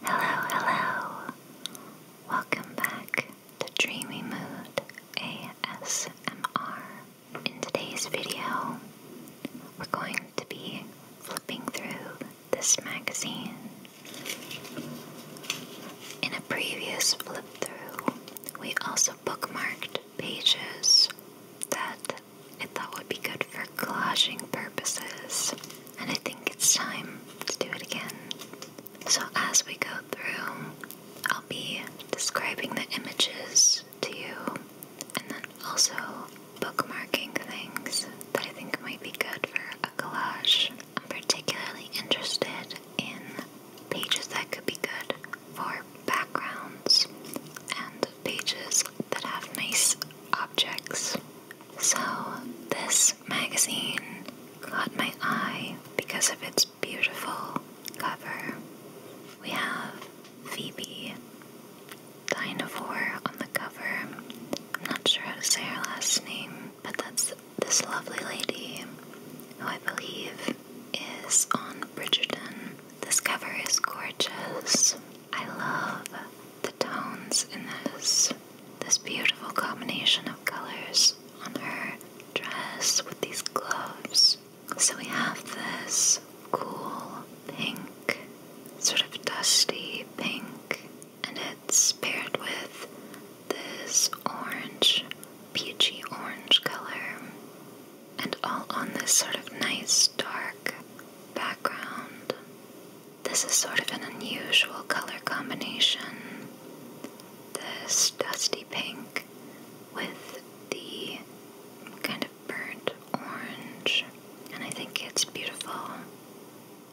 Hello, hello. Welcome back to Dreamy Mood ASMR. In today's video, we're going to be flipping through this magazine. In a previous flip through, we also bookmarked pages that I thought would be good for collaging purposes and I think it's time to do it again. So, as we go through, I'll be describing the images to you and then also bookmarking things that I think might be good for a collage. I'm particularly interested in pages that could be good for backgrounds and pages that have nice objects. So, this magazine caught my eye because of its beautiful cover. We have Phoebe Dinosaur on the cover. I'm not sure how to say her last name, but that's this lovely lady who I believe is on Bridgerton. This cover is gorgeous. I love tones in this this beautiful combination of colors on her dress with these gloves. So we have this cool pink, sort of dusty pink, and it's paired with this orange, peachy orange color, and all on this sort of nice dark background. This is sort of an unusual color combination. This dusty pink with the kind of burnt orange, and I think it's beautiful.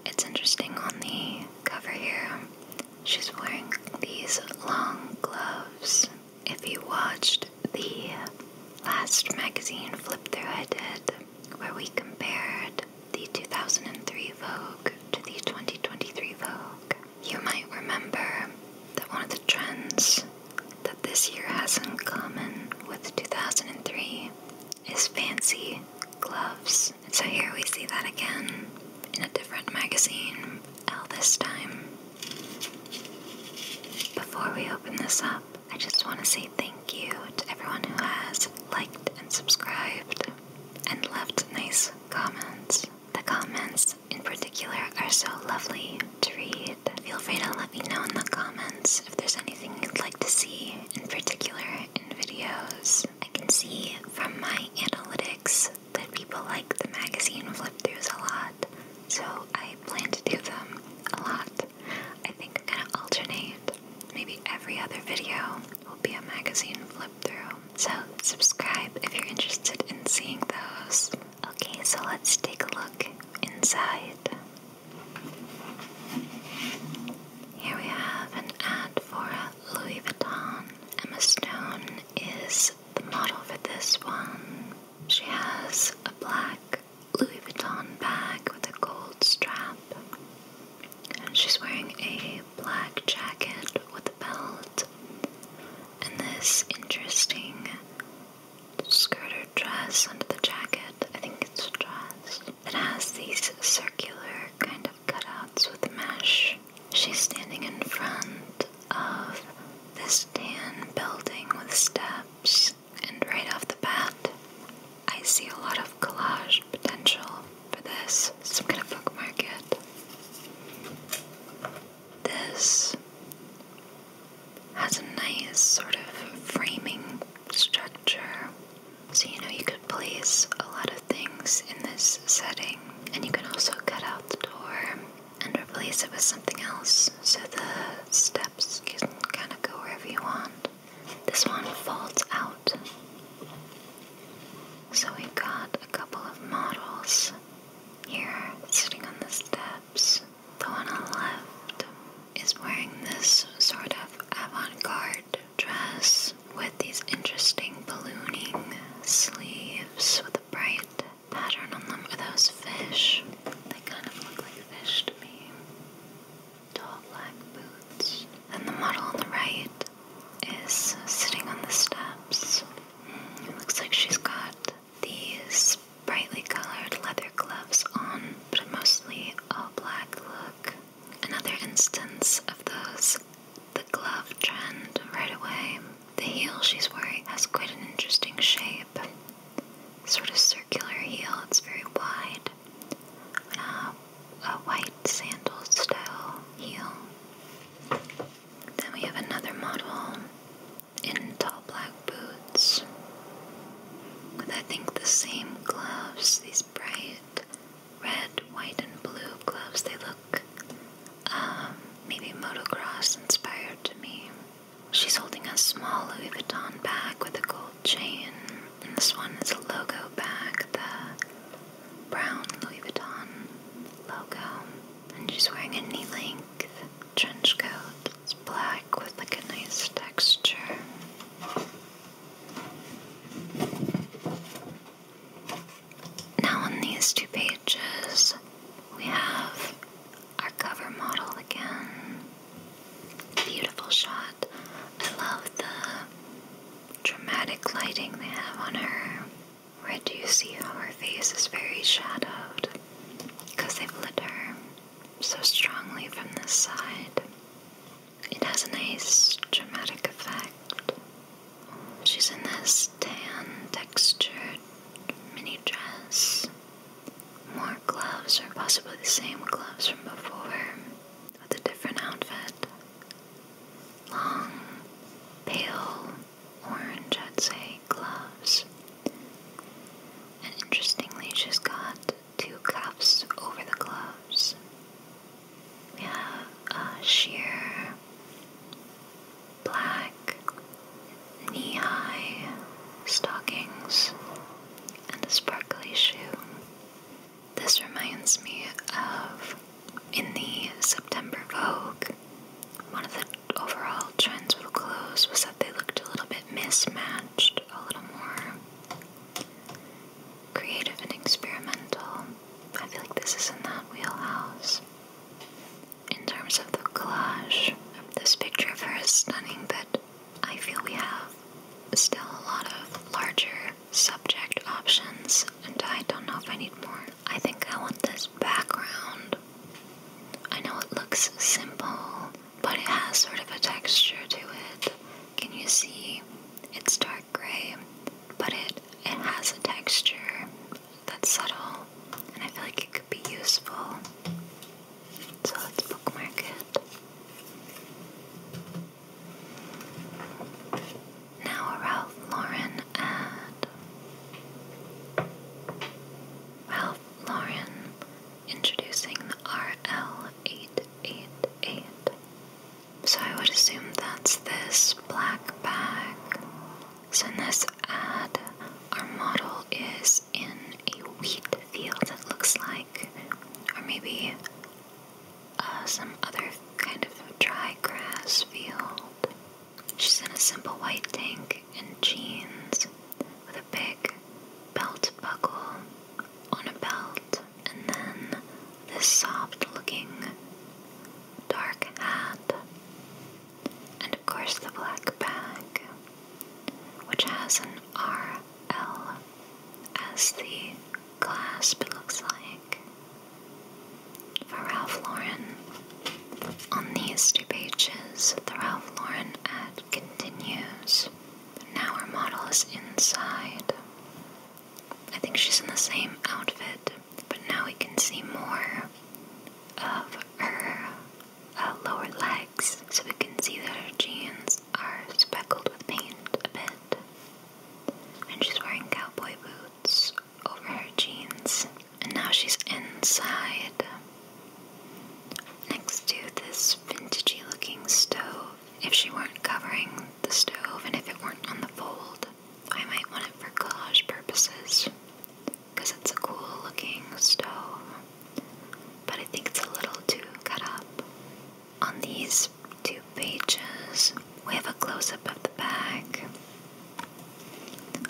It's interesting on the cover here, she's wearing these long gloves. If you watched the last magazine flip through I did, where we compared the 2003 Vogue to the 2023 Vogue. You might remember that one of the trends that this year has in common with 2003 is fancy gloves. So here we see that again in a different magazine, L this time. Before we open this up, I just want to say thank you to everyone who has liked and subscribed and left nice comments. The comments in particular are so lovely to read. Feel free to let me know in the comments if there's anything you'd like to see in particular in videos. I can see from my analytics that people like the magazine flip throughs a lot, so I plan to do them a lot. I think I'm gonna alternate maybe every other video will be a magazine flip through. So subscribe if you're interested in seeing those. Okay, so let's take a look inside. Here we have an ad for Louis Vuitton. Emma Stone is the model for this one. She has a black Louis Vuitton bag with a gold strap, and she's wearing a black jacket with a belt and this interesting skirted dress under the jacket. I think it's a dress. It has these circular kind of cutouts with mesh. She's standing in front of this tan building with steps, and right off the bat, I see a lot of collage potential for this, so I'm gonna bookmark it. This has a nice sort of framing structure, so you know you could place a lot of things in this setting, and you can also cut out the door and replace it with something else so the steps can kind of go wherever you want. This one folds out. So we've got a couple of models here sitting on the steps. The one on the left is wearing this sort of avant garde dress with these interesting ballooning sleeves with a bright pattern on them. Are those fish? They kind of look like fish to me. Tall black boots. And the model on the right is sitting on the steps. looks like she's got these brightly colored leather gloves on, but mostly all black look. Another instance of those, the glove trend right away. The heel she's wearing has quite an interesting shape. Sort of circular heel, it's very wide. Uh, a white sandal style heel. Then we have another model in tall black boots with I think the same gloves, these bright red, white, and blue gloves. They look um, maybe motocross inspired to me. She's holding a small Louis Vuitton bag with a gold chain, and this one is a logo bag. The brown Louis Vuitton logo, and she's wearing a knee length trench coat. It's black with like a nice texture. Now, on these two pages, we have our cover model again. Beautiful shot. I love the dramatic lighting they have on her. Red, do you see how her face is very shadowed? Because they've lit her so strongly from this side. It has a nice dramatic effect. She's in this tan textured mini dress. More gloves, or possibly the same gloves from before with a different outfit. Long, pale, orange, I'd say, gloves. And interestingly, she's got two cuffs over the gloves. Yeah, sheer black knee high stockings and a sparkly shoe. This reminds me of in the September Vogue, one of the overall trends with clothes was that they looked a little bit mismatched, a little more creative and experimental. I feel like this is in that wheelhouse. In terms of the collage, this picture of her is stunning, but I feel we have still a lot of larger subject options, and I don't know if I need more. I think I want this background. I know it looks simple, but it has sort of a texture to it. Can you see? It's dark gray, but it it has a texture that's subtle, and I feel like it could be useful. So let's bookmark it. Now Ralph Lauren ad. Ralph Lauren introducing the RL888. So I would assume that's this black bag. So in this ad, our model is in a wheat field, it looks like, or maybe uh, some other kind of dry grass field. She's in a simple white tank and jeans with a big belt buckle on a belt, and then this soft looking dark hat, and of course the black bag, which has an RL as the clasp, it looks like for Ralph Lauren. On these two pages, the Ralph Lauren ad continues. Now our model is inside. I think she's in the same outfit, but now we can see more of her uh, lower legs, so we can see that her jeans are speckled with paint a bit. And she's wearing cowboy boots, over her jeans, and now she's inside next to this vintagey looking stove. If she weren't covering the stove and if it weren't on the fold, I might want it for collage purposes because it's a cool looking stove, but I think it's a little too cut up. On these two pages. We have a close up of the back.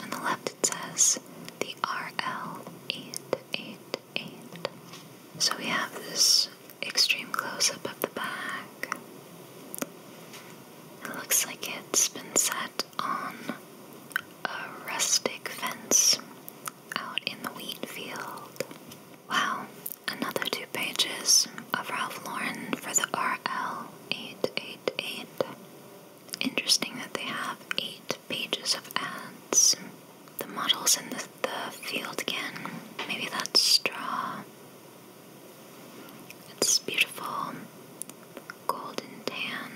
On the left it says the RL888. So we have this extreme close up of the back. It looks like it's been set on a rustic fence out in the wheat field. Wow, another two pages of Ralph Lauren for the RL888. Interesting that they have eight pages of ads. The models in the, the field again. Maybe that's straw. It's beautiful. Golden tan.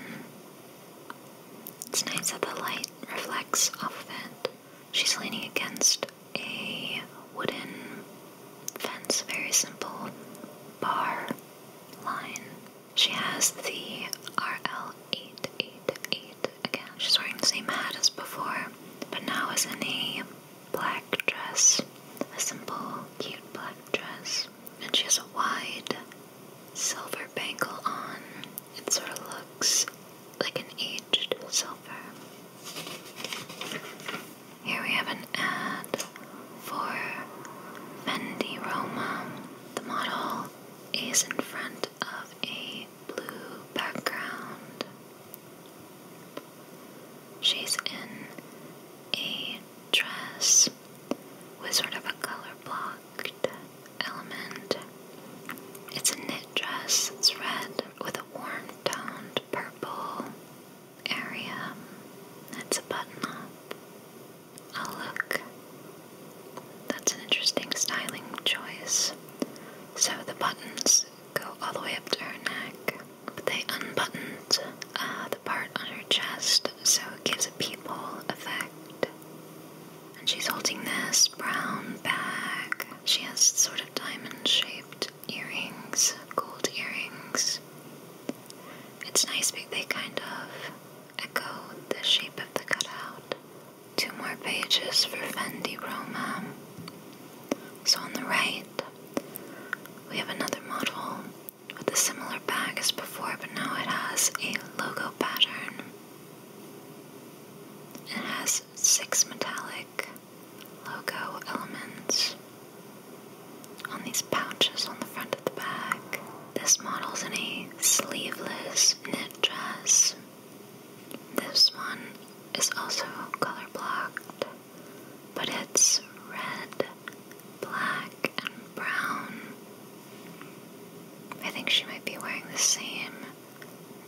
nice that the light reflects off it. She's leaning against a wooden Fence, very simple. Bar, line. She has the RL888. Again, she's wearing the same hat as before, but now is in a black dress. A simple, cute black dress. And she has a wide silver bangle on. It sort of looks like an aged silver. Here we have an ad for Fendi Roma. The model is in front of a blue background. She's in a dress with sort of a color blocked element. It's a knit dress, it's red with a warm toned purple area that's a button up. Oh, look. That's an interesting styling choice. So the buttons go all the way up to her neck, but they unbuttoned uh, the part on her chest so it gives a peephole effect. And she's holding this brown bag. She has sort of diamond shaped earrings, gold earrings. It's nice because they kind of echo the shape of the cutout. Two more pages for Fendi Roma. So on the right, we have another model with a similar bag as before, but now it has a logo pattern. It has six metallic logo elements on these pouches on the front of the back. This model's in a sleeveless knit dress. This one is also color blocked, but it's red, black, and brown. I think she might be wearing the same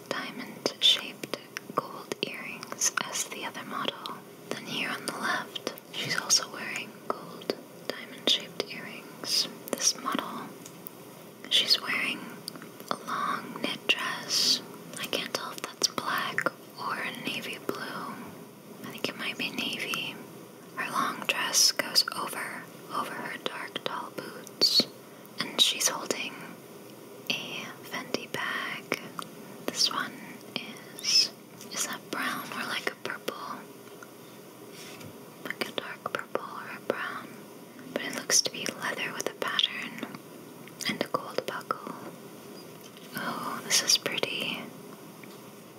diamond shaped gold earrings as the other model. Then, here on the left, She's also wearing gold diamond shaped earrings. This model. She's wearing a long knit dress. I can't tell if that's black or navy blue. I think it might be navy. Her long dress goes over over her dark tall boots, and she's holding a Fendi bag. This one is is that brown or like a purple? Like a dark purple or a brown. But it looks to be leather with a pattern and a gold buckle. Oh, this is pretty.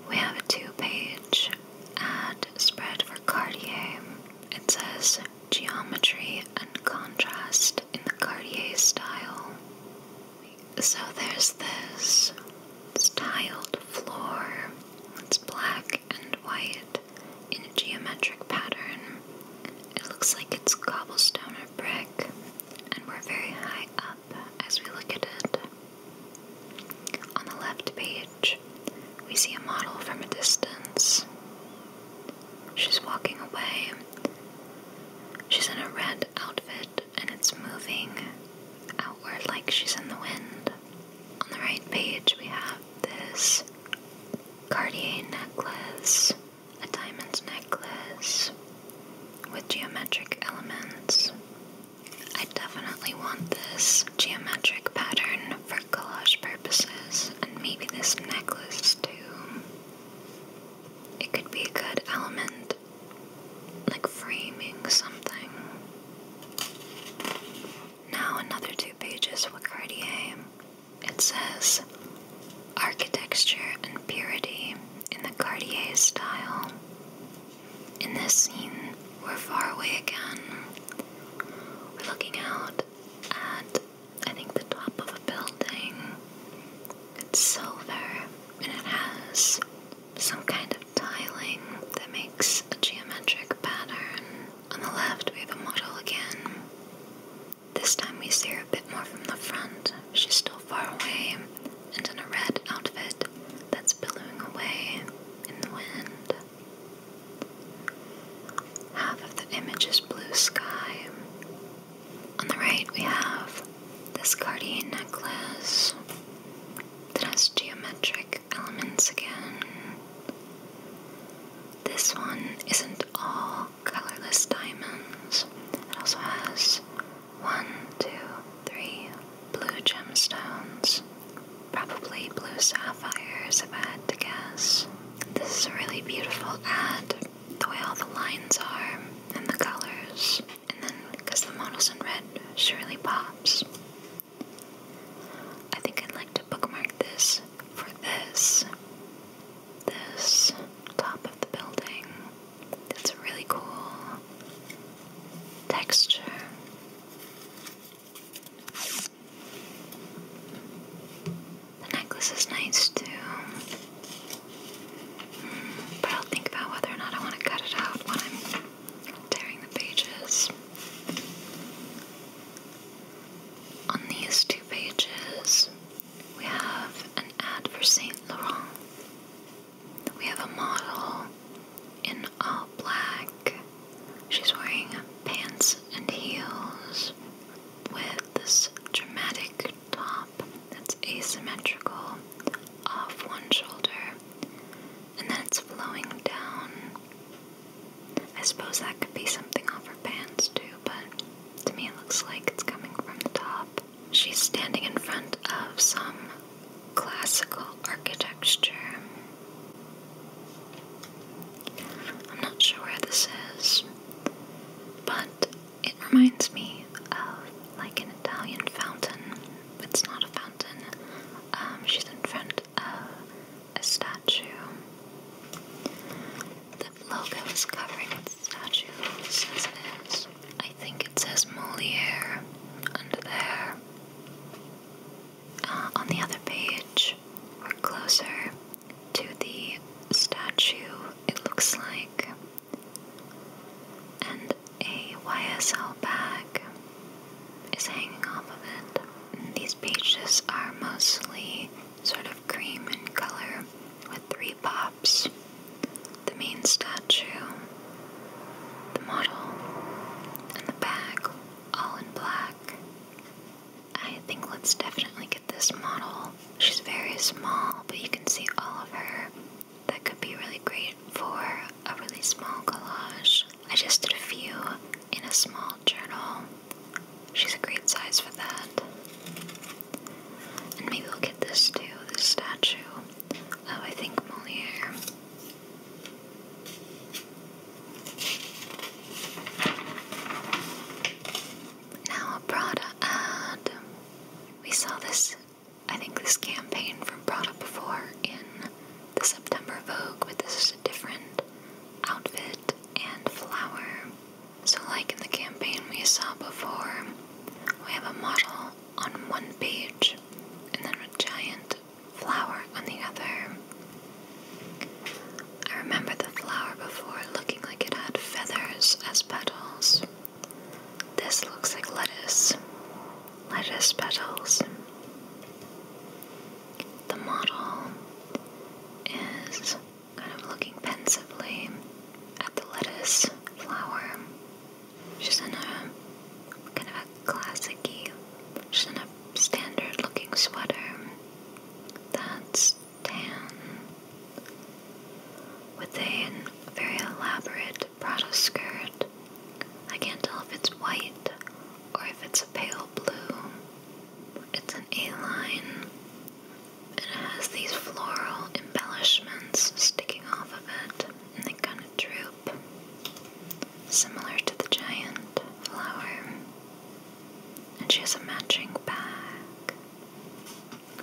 We have a two page ad spread for Cartier. It says geometry and contrast in the Cartier style. So there's this it's tiled floor. It's black and white in a geometric pattern. It looks like it's cobblestone or brick, and we're very high up as we look at it. On the left page, we see a model from a distance. She's walking away. She's in a red outfit and it's moving outward like she's in the wind. On the right page, we have this Cartier necklace, a diamond necklace with geometric elements. I definitely want this geometric pattern for collage purposes, and maybe this necklace too. It could be a good element like framing something. Now another two pages with Cartier. It says Architecture and Purity in the Cartier style. In this scene, we're far away again. We're looking out at I think the top of a building. It's silver and it has some kind of tiling that makes a geometric pattern. On the left, we have a model again. This time we see her a bit more from the front. She's still far away and in a red outfit that's billowing away in the wind. Half of the image is blue sky. On the right, we have this guardian necklace has geometric elements again. This one isn't all colorless diamonds. It also has one, two, three blue gemstones. Probably blue sapphires, if I had to guess. This is a really beautiful ad, the way all the lines are and the colors and then because the model's in red, Shirley pops. I think I'd like to bookmark this for this. This top of the building. It's a really cool texture. The necklace is nice too. Hmm, but I'll think about whether or not I want to cut it out when I'm tearing the pages. On these two pages, we have an ad for Saint Laurent. We have a model in all black. She's wearing pants and heels with this dramatic top that's asymmetrical off one shoulder and then it's flowing down. I suppose that could be something off her pants too, but to me it looks like it's coming from the top. She's standing in front of some classical architecture. I'm not sure where this is, but it reminds me of like an Italian fountain. It's not a fountain. Um, she's in front of a statue. The logo is covering the statue. It says this. I think it says Moliere under there. Uh, on the other page, or closer to the statue, it looks like. And a YSL bag is hanging off of it. And these pages are mostly sort of cream in color with three pops the main statue, the model, and the bag, all in black. I think let's definitely get this model. She's very small, but you can see all of her that could be really great for a really small collage. I just did a few in a small journal. She's a great size for that. And maybe we'll get this too, this statue of I think Moliere. Now a Prada ad. We saw this I think this campaign from brought up before in the September Vogue, but this is a different outfit and flower. So, like in the campaign we saw before, we have a model on one page and then a giant flower on the other. I remember the flower before looking like it had feathers as petals. This looks like lettuce lettuce petals. The model is kind of looking pensively at the lettuce flower. She's in a kind of a classic she's in a standard looking sweater that's tan with a very elaborate it brought skirt. I can't tell if it's white or if it's a pale blue. It's an A-line. it has these floral embellishments sticking off of it, and they kind of droop, similar to the giant flower. And she has a matching bag.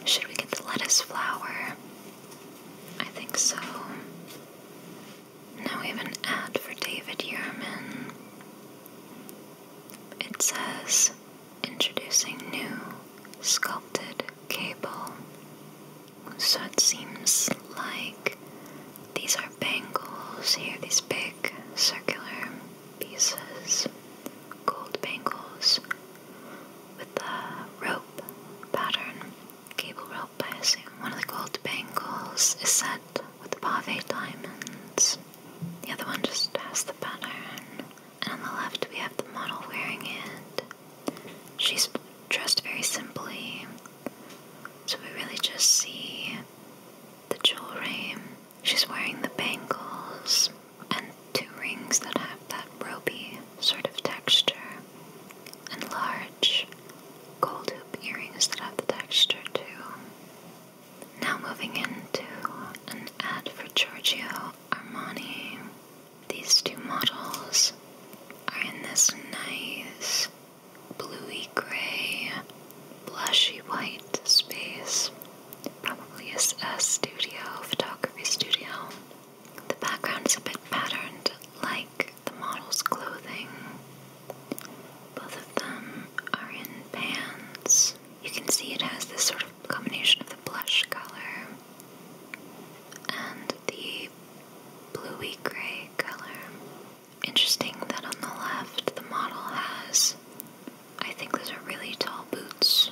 Should we get the lettuce flower? I think so. Now we have an ad for David Yerman. It says, introducing new sculpted cable. So it seems like these are bangles here, these big circular pieces, gold bangles with the rope pattern cable rope passing. One of the gold bangles is set with pave diamonds. The other one just has the pattern. And on the left we have the model wearing it. She's dressed very simply. So we really just see the jewelry. She's wearing the bangles and two rings that have that ropey sort of texture and large gold hoop earrings that have the texture too. Now moving into an ad for Giorgio Armani. These two models are in this nice bluey gray, blushy white space. Probably a studio, photography studio. The background is a bit patterned like the model's clothing. Both of them are in pants. You can see it has this sort of combination of the blush color and the bluey gray color. Interesting that on the left the model has, I think those are really tall boots.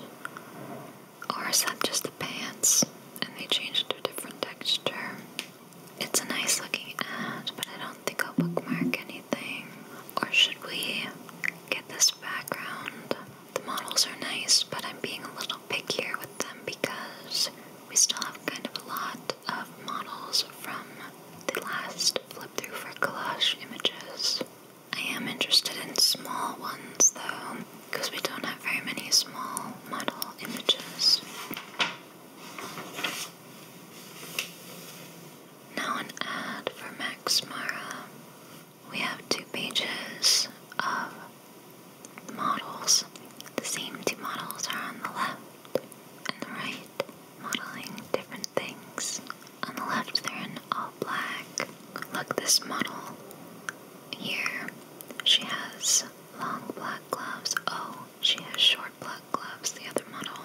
Or is that just the pants and they changed to a different texture? It's a nice looking ad, but I don't think I'll bookmark anything. Or should we get this background? The models are nice, but I'm being a little pickier with them because we still have kind of a lot of models from the last flip through for collage images. I am interested in small ones though, because we don't have very many small model images. Now, an ad for Max Mara. We have two pages of models. The same two models are on the left and the right, modeling different things. On the left, they're in all black. Look, this model here. She has long black gloves. Oh, she has short black gloves, the other model.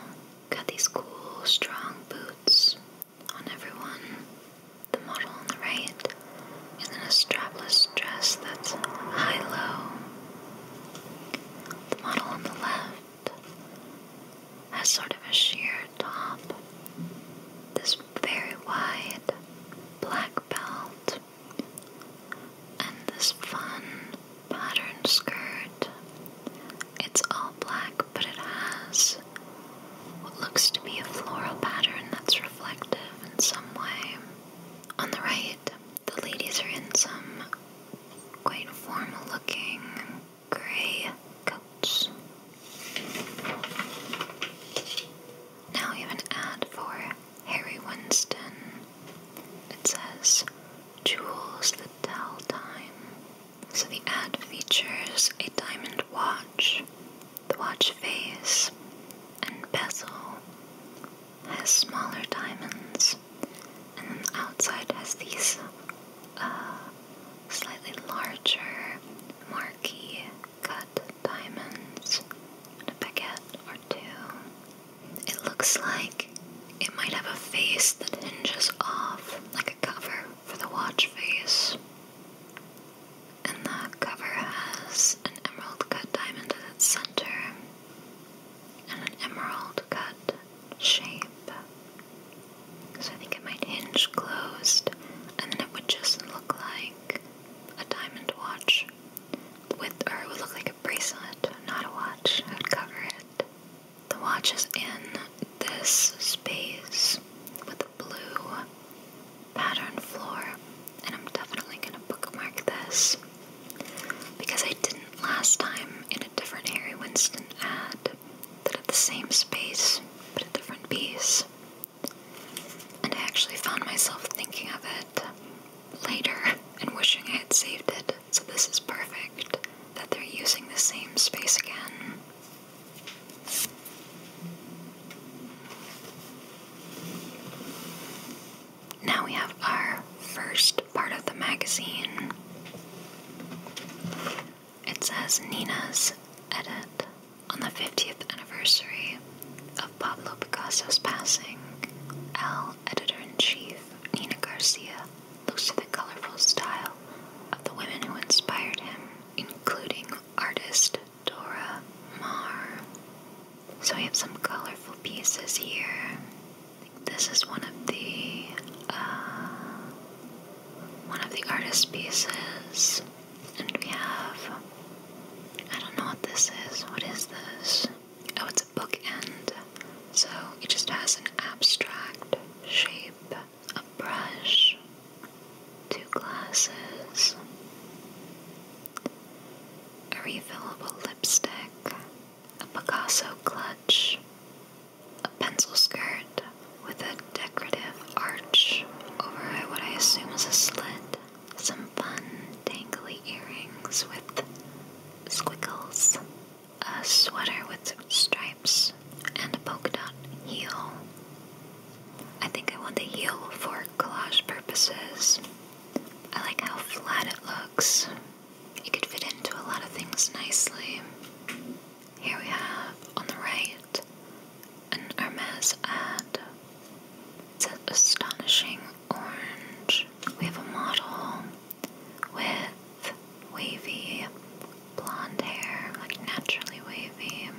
Got these cool, strong boots on everyone. The model on the right is in a strapless dress that's high low. The model on the left has sort of a sheer top, this very wide black belt and this fun pattern skirt. It's all black, but it has what looks to be a floral pattern that's reflective in some way. On the right, the ladies are in some quite formal looking gray coats. Now we have an ad for Harry Winston. It says, Jewels that tell time. So the ad features a diamond watch, the watch face, and bezel has smaller diamonds, and then the outside has these uh, slightly larger marquee cut diamonds, and a baguette or two. It looks like it might have a face that hinges off, like a cover for the watch face. And the cover has an emerald cut diamond at its center and an emerald cut shape. So I think it might hinge closed, and then it would just look like a diamond watch. With or it would look like bracelet, not a watch, I would cover it. The watch is in this space with a blue pattern floor, and I'm definitely gonna bookmark this because I didn't last time in a different Harry Winston ad that had the same space but a different piece. And I actually found myself thinking of it later and wishing I had saved it so this is perfect that they're using the same space again. Now we have our first part of the magazine. It says Nina's edit on the 50th anniversary of Pablo Picasso's passing, L editor in chief. Nina Garcia looks to the colorful style of the women who inspired him, including artist Dora Maar. So we have some colorful pieces here. This is one of the uh, one of the artist pieces, and we have I don't know what this is. What is this? oh, it's a bookend. So it just has an abstract shape, a brush, two glasses, a refillable lipstick, a Picasso clutch, a pencil skirt with a decorative arch over what I assume is a slit, some fun dangly earrings with squiggles, a sweater with stripes and a polka dot heel. I think I want the heel for collage purposes. I like how flat it looks. It could fit into a lot of things nicely. Here we have, on the right, an Hermes ad. It's an astonishing orange. We have a model with wavy blonde hair, like naturally wavy.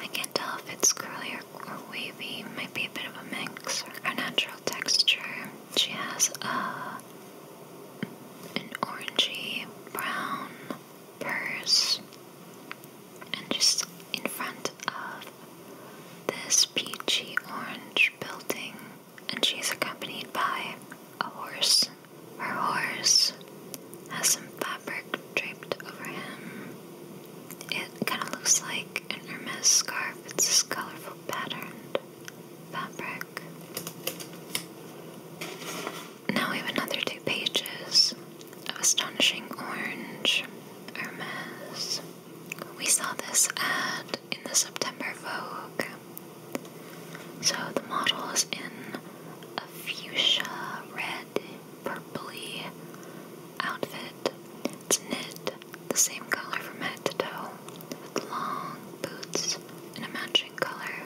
I can't tell if it's curly or, wavy, might be a bit of a mix. Her natural texture. She has a, an orangey brown purse, and just in front of this peachy orange building and she's accompanied by a horse. Her horse has some fabric draped over him. It kind of looks like an Hermes scarf. It's this colorful patterned fabric. Now we have another two pages of astonishing orange Hermes. We saw this ad in the September Vogue. So the model is in a fuchsia red purpley outfit. It's knit, the same color from head to toe, with long boots and a matching color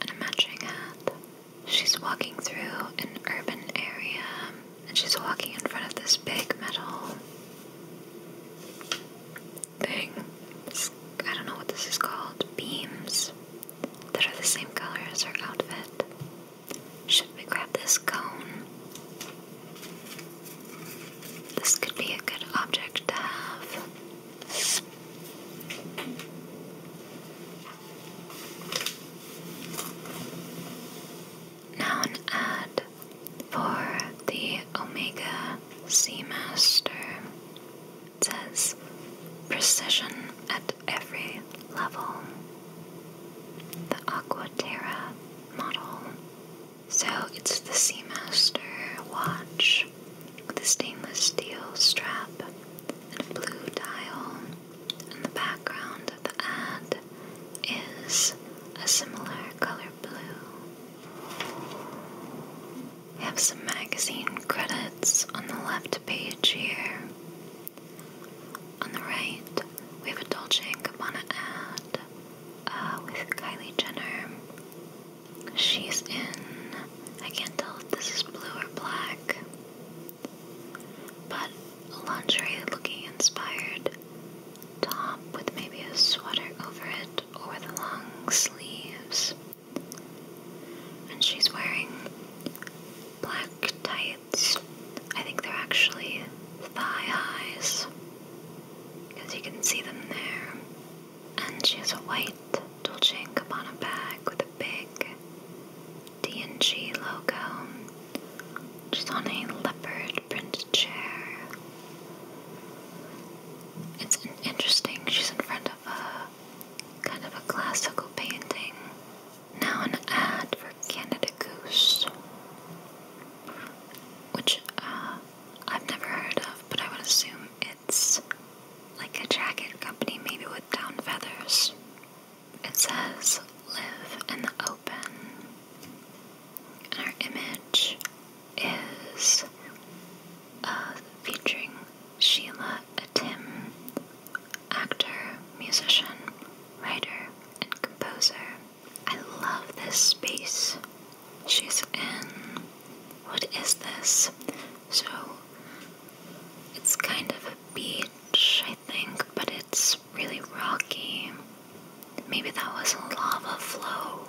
and a matching hat. She's walking through an urban area and she's walking in front of this big metal thing. I don't know what this is called. Beams that are the same color as her outfit. Should we grab this cone? This could be a good object to have. Now, an for the Omega Sea says precision at every level. The Aquaterra model. So it's the Seamaster watch with a stainless steel strap and a blue dial. And the background of the ad is a similar color blue. We have some magazine credits on the left page here. On the right, we have a Dolce & Gabbana ad uh, with Kylie Jenner. She's in, I can't tell if this is blue or black, but lingerie looking inspired top with maybe a sweater over it shirt or with long sleeves. And she's wearing black tights. I think they're actually thigh highs, because you can see them there. And she has a white Dolce & Gabbana bag with a big D&G logo. just on a leopard print chair. It's interesting, she's in front of a kind of a classical painting. Now, an ad for Canada Goose, which uh, I've never heard of, but I would assume it's like a jacket company, maybe with down feathers. It says, Live in the open. our image is uh, featuring Sheila, a Tim, actor, musician, writer, and composer. I love this space she's in. What is this? So it's kind of a beach, I think, but it's really rocky. Maybe that was a lava flow.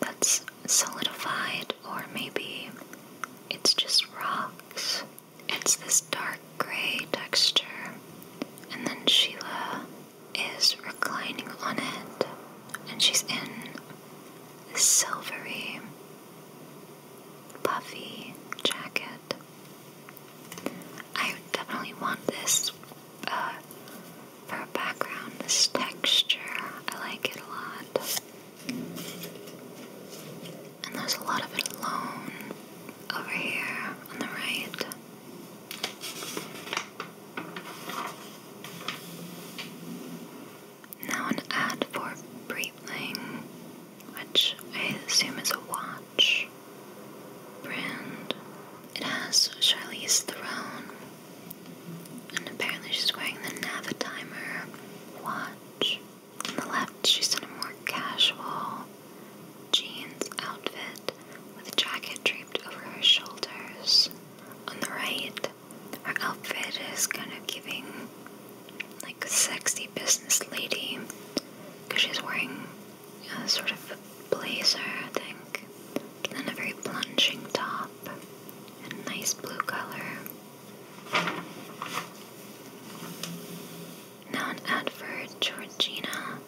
That's solidified, or maybe it's just rocks. It's this dark gray texture, and then Sheila is reclining on it, and she's in this silvery, puffy jacket. I definitely want this uh, for a background, this texture, I like it a lot. And there's a lot of it alone over here on the right. Now an ad for Breitling, which I assume is a watch brand. It has Charlize Theron and apparently she's wearing the Navitimer watch. On the left, she's in a more casual jeans outfit with a jacket draped over her shoulders. On the right, her outfit is kind of giving like a sexy business lady because she's wearing a sort of blazer, I think, and then a very plunging top. A nice blue color. Now an ad Georgina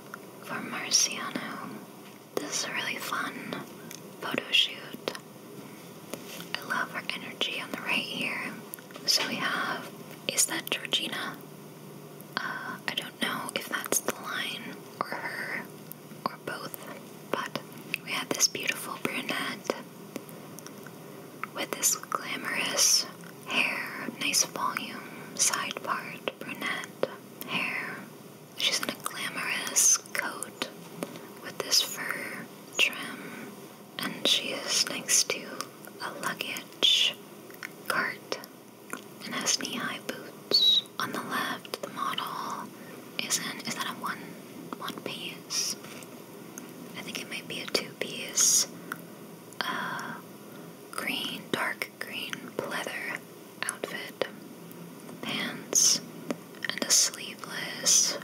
for Marciano. This is a really fun photo I love her energy on the right here. So we have, is that Georgina? Uh, I don't know if that's the line or her or both, but we have this beautiful brunette with this glamorous hair, nice volume, side part, brunette hair. She's in a glamorous coat with this fur trim, and she is next to a luggage cart and has knee high boots. On the left, the model is in, is that a one, one piece? I think it might be a two piece, uh, green, dark green leather outfit, pants, and a sleeveless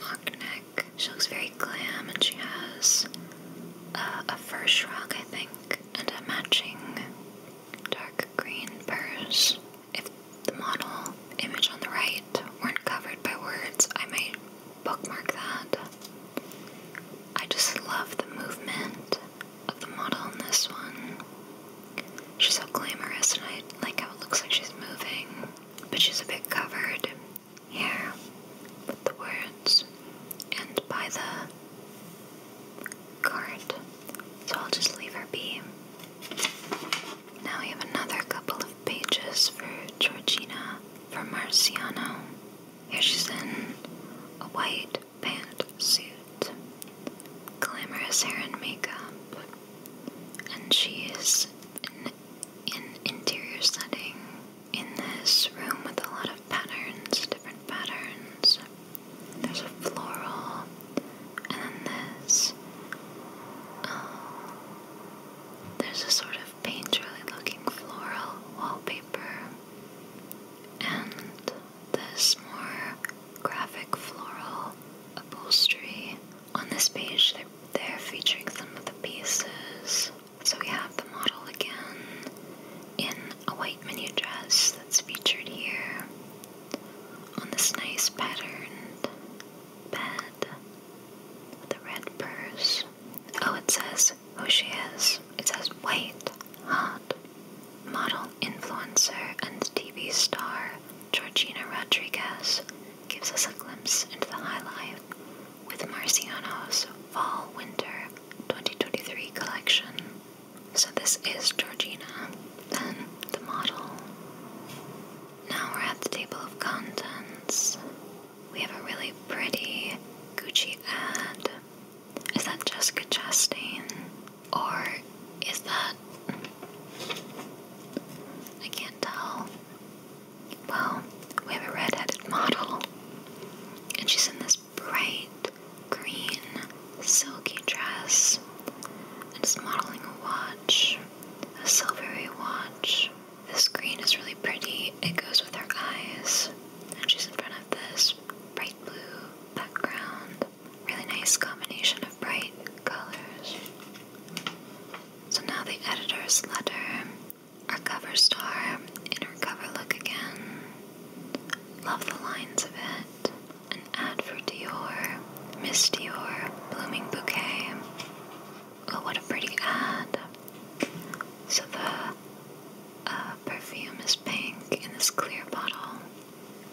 mock neck. She looks very glam and she has uh, a fur shrug, I think, and a matching dark green purse. If the model image on the right weren't covered by words, I might bookmark that. I just love the movement of the model in this one. She's so glamorous and I like how it looks like she's moving, but she's a bit covered here with the words and by the card. So I'll just leave her be. Now we have another couple of pages for Georgina for Marciano. Here she's in a white pantsuit, glamorous hair and makeup, and she is in an in interior setting in this room with a lot of patterns, different patterns. There's a floral and then this. Uh, there's a sort of painterly looking floral wallpaper, and this more graphic floral upholstery. On this page, they're, they're featuring some of the pieces. So we have the model again in a white mini dress that's featured here on this nice patterned bed with red purse. Oh, it says who she is. It says white, hot, model, influencer, and TV star Georgina Rodriguez gives us a glimpse into the high life with Marciano's Fall Winter 2023 collection. So, this is Georgina, then the model. Now we're at the table of contents. We have a really pretty Gucci ad. Is that Jessica Chastain? Or is that. I can't tell. Well, we have a red headed model. And she's in this bright green silky dress and is modeling a watch a silvery watch. This screen is really pretty. It goes with her eyes. And she's in front of this bright blue background. Really nice combination of bright colors. So now the editor's letter. Our cover star in her cover look again. Love the lines of it. An ad for Dior. Miss Dior Blooming Bouquet. Oh, what a pretty ad. So the uh, perfume is pink in this clear bottle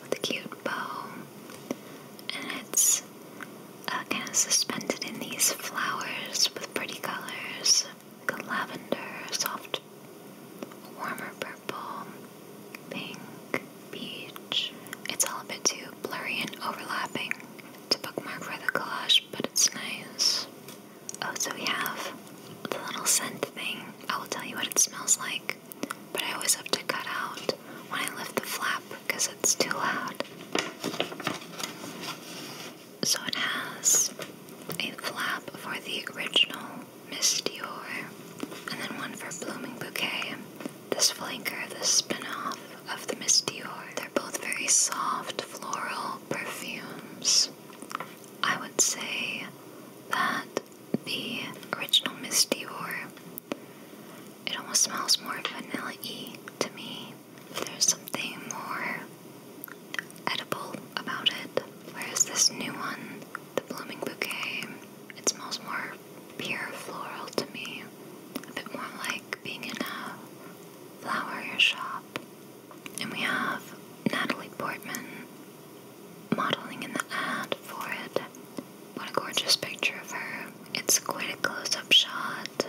with a cute bow. And it's uh, kind of suspended in these flowers with pretty colors like lavender, soft, warmer purple, pink, beach. It's all a bit too blurry and overlapping to bookmark for the collage, but it's nice. Oh, so we have the little scent thing. I will tell you what it smells like, but I always have to cut out when I lift the flap because it's too loud. So it has a flap for the original misty Dior, and then one for Blooming Bouquet, this flanker, this off of the Miss Dior, they're both very soft floral perfumes. I would say that the original Miss Dior, it almost smells more vanilla-y to me. There's something more edible about it. Whereas this new one, the Blooming Bouquet, it smells more pure floral to me, a bit more like being in a flower shop. And we have Natalie Portman modeling in the ad for it. What a gorgeous picture of her! It's quite a close up shot.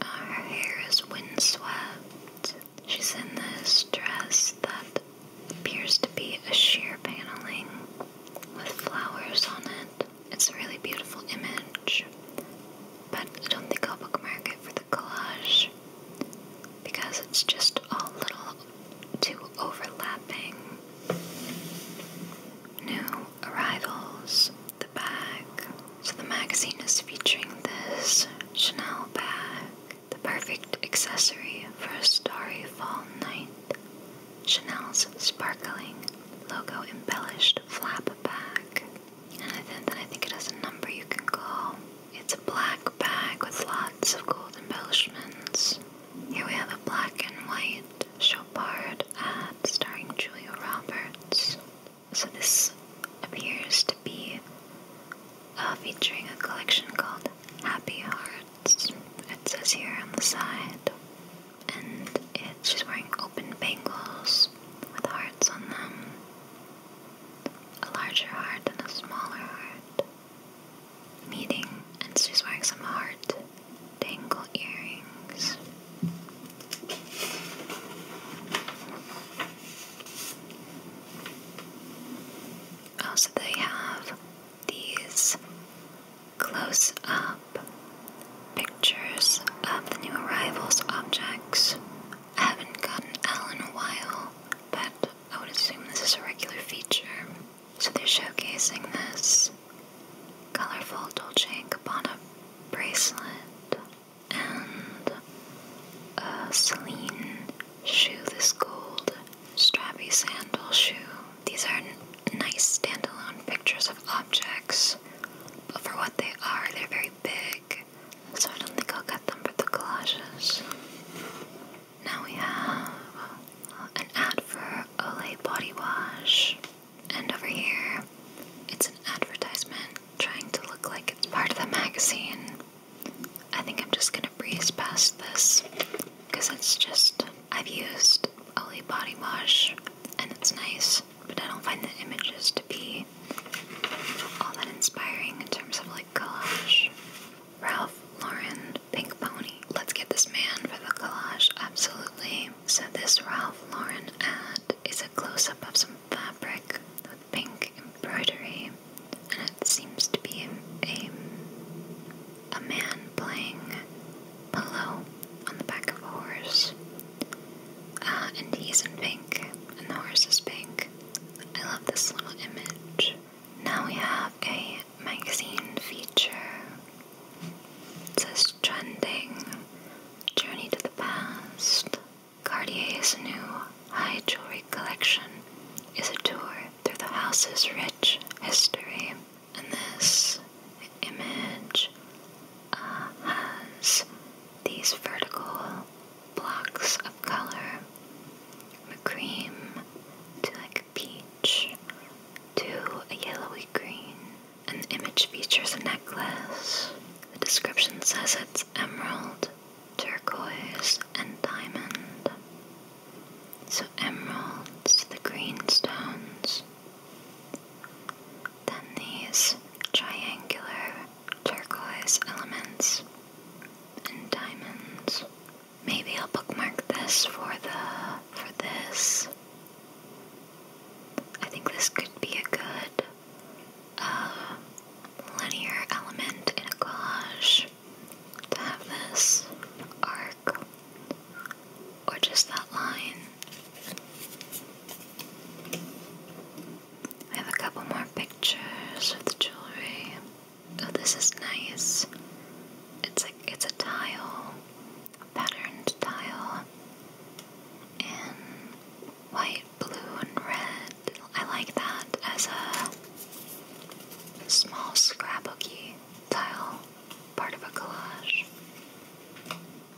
Uh, her hair is windswept. She's in this dress that appears to be a sheer paneling with flowers on it. It's a really beautiful image, but I don't think I'll bookmark it for the collage because it's just all little too overlapping. New arrivals, the bag. So the magazine is featuring this Chanel bag, the perfect accessory for a starry fall night. Chanel's sparkling logo embellished flap bag. And I think that I think it has a number you can call. It's a black bag with lots of gold embellishments. Here we have a black and white Chopard ad starring Julia Roberts. So this appears to be uh, featuring a collection called Happy Hearts. It says here on the side and it, she's wearing open bangles with hearts on them. A larger heart and a smaller heart. Meeting, and she's wearing some heart dangle earrings. Also, they have these Close up pictures of the new arrivals' objects. I haven't gotten L in a while, but I would assume this is a regular feature. So they're showcasing this colorful Dolce & Gabbana bracelet and a Celine shoe, this gold strappy sandal shoe. These are nice standalone pictures of objects but for what they are, they're very big, so I don't think I'll cut them for the collages. Now we have an ad for Olay Body Wash, and over here, it's an advertisement trying to look like it's part of the magazine. I think I'm just gonna breeze past this because it's just I've used Olay Body Wash and it's nice, but I don't find the images to be all that inspiring in terms of like collage. Ralph Lauren Pink Pony. Let's get this man for the collage, absolutely. So, this Ralph Lauren ad is a close up of some fabric with pink embroidery, and it seems to be a, a, a man playing Polo on the back of a horse. Uh, and he's in pink, and the horse is pink. I love this little image. Now we have a magazine feature. It says Trending, Journey to the Past. Cartier's new high jewelry collection is a tour through the house's rich history. And this image has these vertical blocks of color from cream to like a peach to a yellowy green. The image features a necklace. The description says it's emerald, turquoise, and diamond. So emeralds, the green stones than these triangular turquoise elements and diamonds. Maybe I'll bookmark this for the for this. I think this could be a good uh, linear element in a collage to have this arc or just that line I have a couple more pictures of the jewelry. Oh, this is nice. It's like it's a tile, patterned tile, in white, blue, and red. I like that as a small scrapbooky tile, part of a collage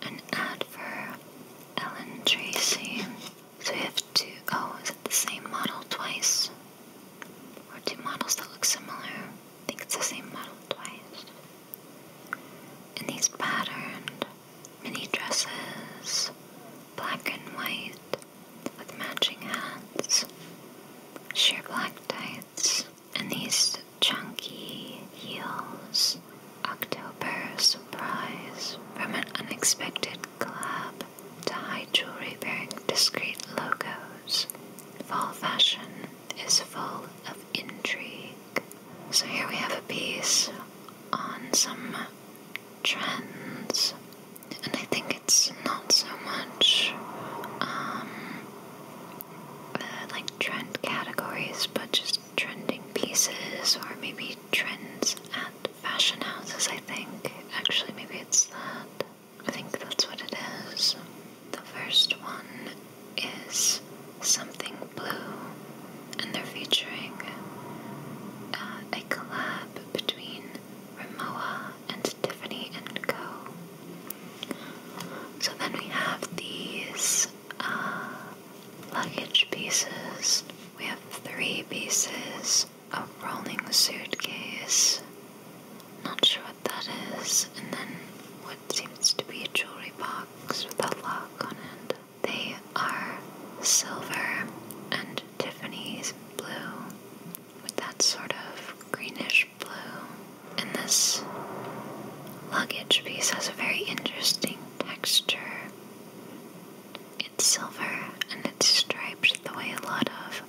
an ad for Ellen Tracy. So we have two, oh, is it the same model twice? Or two models that look similar? I think it's the same model twice. And these patterned mini dresses, black and white, with matching hats, sheer black tights, and these Chunky Heels October Surprise from an unexpected collab to high jewelry bearing discreet logos. Fall fashion is full of intrigue. So here we have a piece on some trends, and I think it's not so much um, uh, like trend categories, but just trending pieces or maybe trends at fashion houses, I think. Actually, maybe it's that. I think that's what it is. The first one is something blue, and they're featuring uh, a collab between Ramoa and Tiffany and Co. So then we have these uh, Luggage pieces. We have three pieces. A rolling suitcase. Not sure what that is. And then what seems to be a jewelry box with a lock on it. They are silver and Tiffany's blue with that sort of greenish blue. And this luggage piece has a very interesting texture. It's silver and it's striped the way a lot of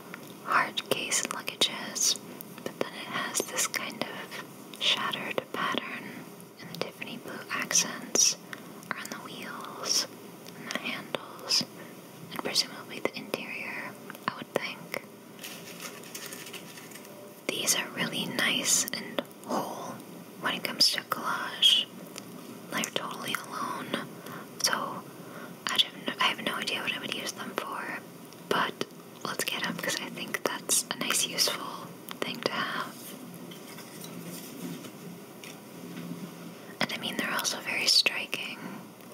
hard case luggage is, but then it has this kind of shattered pattern, and the Tiffany blue accents are on the wheels and the handles, and presumably the interior, I would think. These are really nice and whole when it comes to collage. They're totally alone, so I, don't, I have no idea what I would use them for. But let's get them because I think that's a nice, useful thing to have. And I mean, they're also very striking.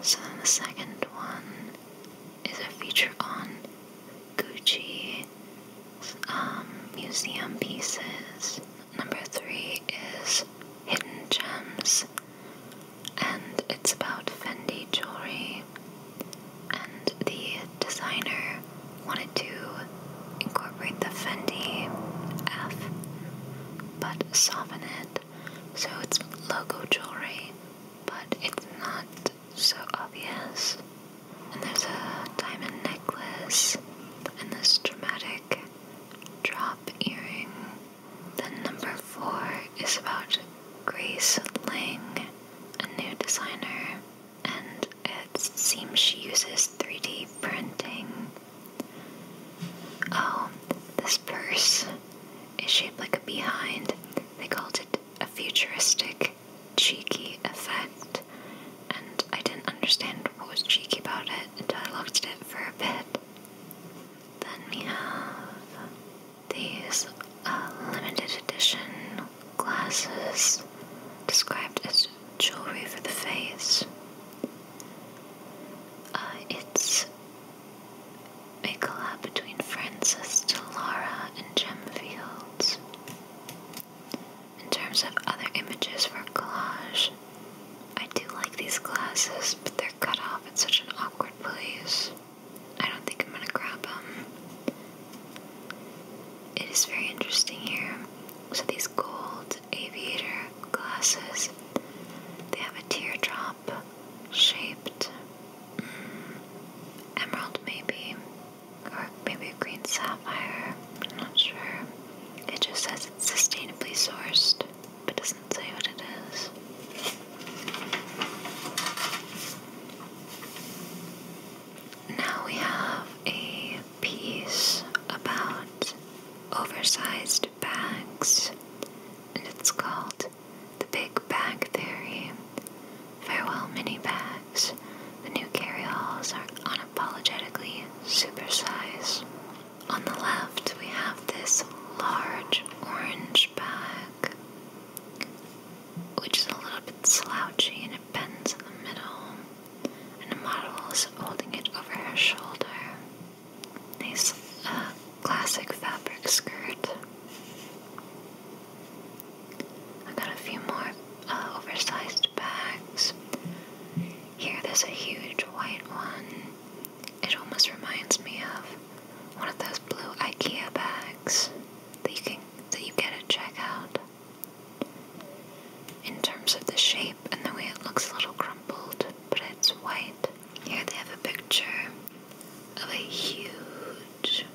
So then the second one is a feature on Gucci um, museum pieces. Number three is hidden gems, and it's about Fendi jewelry. And the designer wanted to incorporate the Fendi F, but soften it so it's logo jewelry, but it's not so obvious and there's a diamond necklace, and this dramatic drop earring. Then number four is about Grace Lang, a new designer, and it seems she uses 3D printing. Oh, this purse is shaped like a behind. They called it a futuristic cheeky effect, and I didn't understand what was cheeky about it until I looked at it for a bit. Then we have these uh, limited edition glasses described as jewelry for the face. Uh, it's a collab between Frances Laura and Gem Fields. In terms of other images for collage, I do like these glasses, but they're cut off in such an awkward place. I don't think I'm gonna grab them. It is very interesting here. So these gold aviator glasses, they have a teardrop shaped mm, emerald maybe or maybe a green sapphire. I'm not sure. It just says it's sustainably sourced, but doesn't say what it is. Now we have a piece about oversized bags, and it's called The Big Bag Theory. Farewell mini bags. The new carryalls are on Apologetically, supersize. On the left, we have this large orange bag, which is a little bit slouchy and it bends in the middle, and the model is holding it over her shoulder. Nice uh, classic fabric skirt. I got a few more uh, oversized bags. Here, there's a huge white one. It almost reminds me of one of those blue IKEA bags that you can that you get at checkout. In terms of the shape and the way it looks a little crumpled, but it's white. Here they have a picture of a huge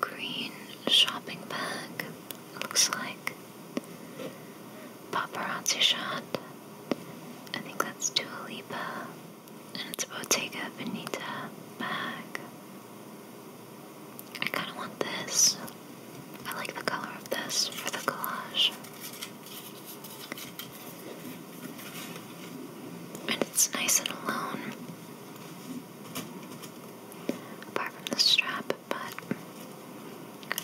green shopping bag. It looks like Paparazzi shot. I think that's Dua Lipa. And it's Bottega Veneta bag. I kind of want this. I like the color of this for the collage. And it's nice and alone apart from the strap, but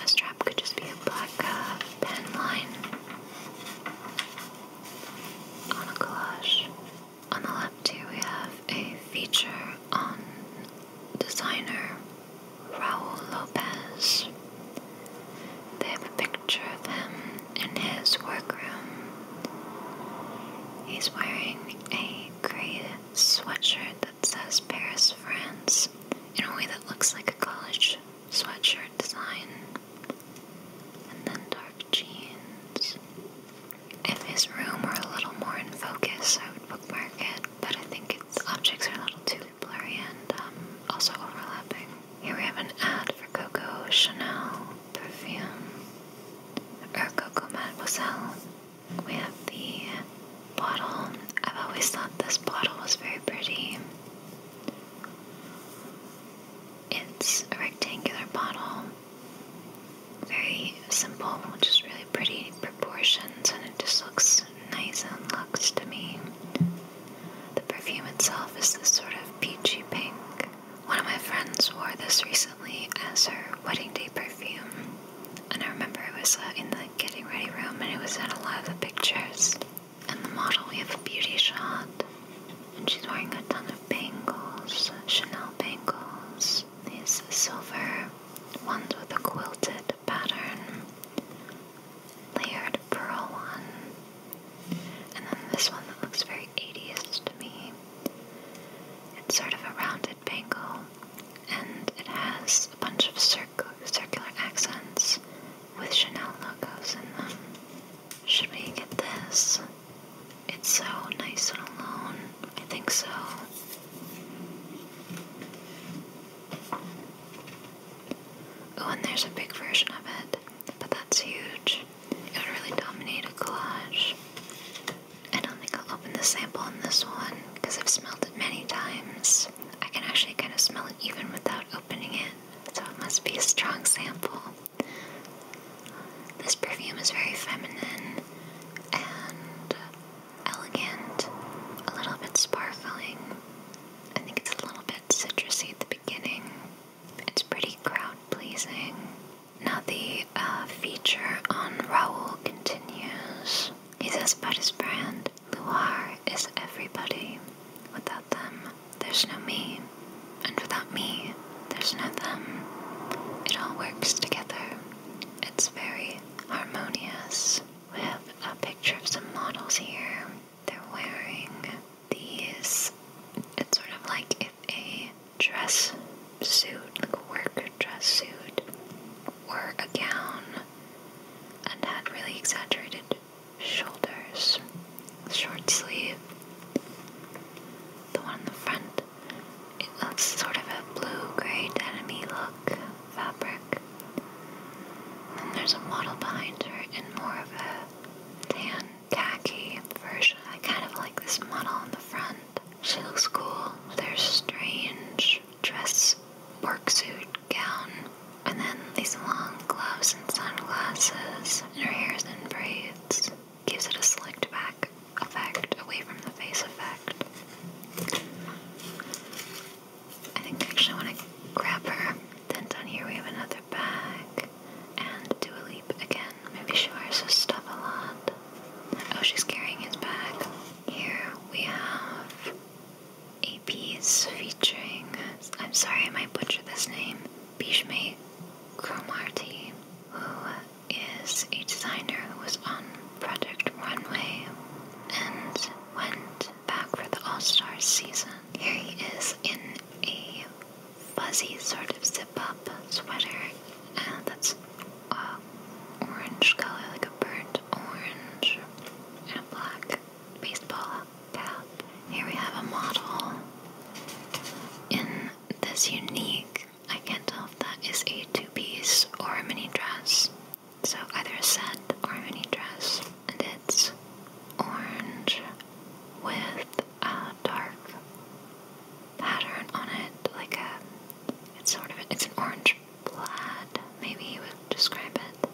a strap could just be a black uh, pen line on a collage. On the left here we have a feature on designer Raul Lopez. They have a picture of him in his workroom. He's wearing a gray sweatshirt that says Paris, France in a way that looks like a college sweatshirt design. And then dark jeans. If his room were a little more in focus, I would bookmark it, but I think its objects are a little too blurry and um, also overlapping. Here we have an ad for Coco Chanel perfume, or Coco Mademoiselle we have the bottle. I've always thought this bottle was very pretty. It's a rectangular bottle, very simple, which is really pretty proportions, and it just looks nice and luxe to me. The perfume itself is this sort of peachy pink. One of my friends wore this recently as her wedding day perfume. And I remember it was uh, in the getting ready room, and it was in a lot of the pictures. And the model, we have a beauty shot, and she's wearing a ton of bangles, Chanel bangles, these silver ones with a quilted pattern, layered pearl one, and then this one that looks very 80s to me. It's sort of a rounded rectangle and it has a bunch of circular accents with Chanel logos in them. Should we get this? It's so nice and alone. I think so. Oh, and there's a big version of it, but that's huge. It would really dominate a collage. I don't think I'll open the sample in this one because I've smelled it many times. I can actually kind of smell it even without opening it, so it must be a strong sample. This perfume is very feminine and elegant, a little bit sparkling. I think it's a little bit citrusy at the beginning. It's pretty crowd pleasing. Now, the uh, feature on Raoul continues. He says about his brand Luar is everybody. Without them, there's no me. And without me, there's no them. It all works together. It's very harmonious. We have a picture of some models here. They're wearing these. It's sort of like if a dress suit, like a work dress suit, or a gown and had really exaggerated shoulders, short sleeve. The one in the front, it looks sort of a blue-gray denim look fabric. then there's a model behind her in more of a tan khaki version. I kind of like this model on the front. She looks cool. There's strange dress work suit gown, and then these long gloves and sunglasses, and her hair's in braids. Gives it a slicked back effect, away from the face effect. I think I actually want to grab her. Then down here we have another bag, and do a leap again. Maybe she wears this stuff a lot. Oh, she's carrying his bag. Here we have a piece featuring, I'm sorry I might butcher this name, Bishme Cromarty, who is a designer who was on Project Runway and went back for the All Stars season. Here he is in a fuzzy sort of zip-up sweater uh, that's orange color, like a burnt orange and a black baseball cap. Here we have a model in this unique, I can't tell if that is a two piece or a mini dress. So either a set or a mini dress, and it's orange with a dark pattern on it, like a it's sort of it's an orange plaid, maybe you would describe it.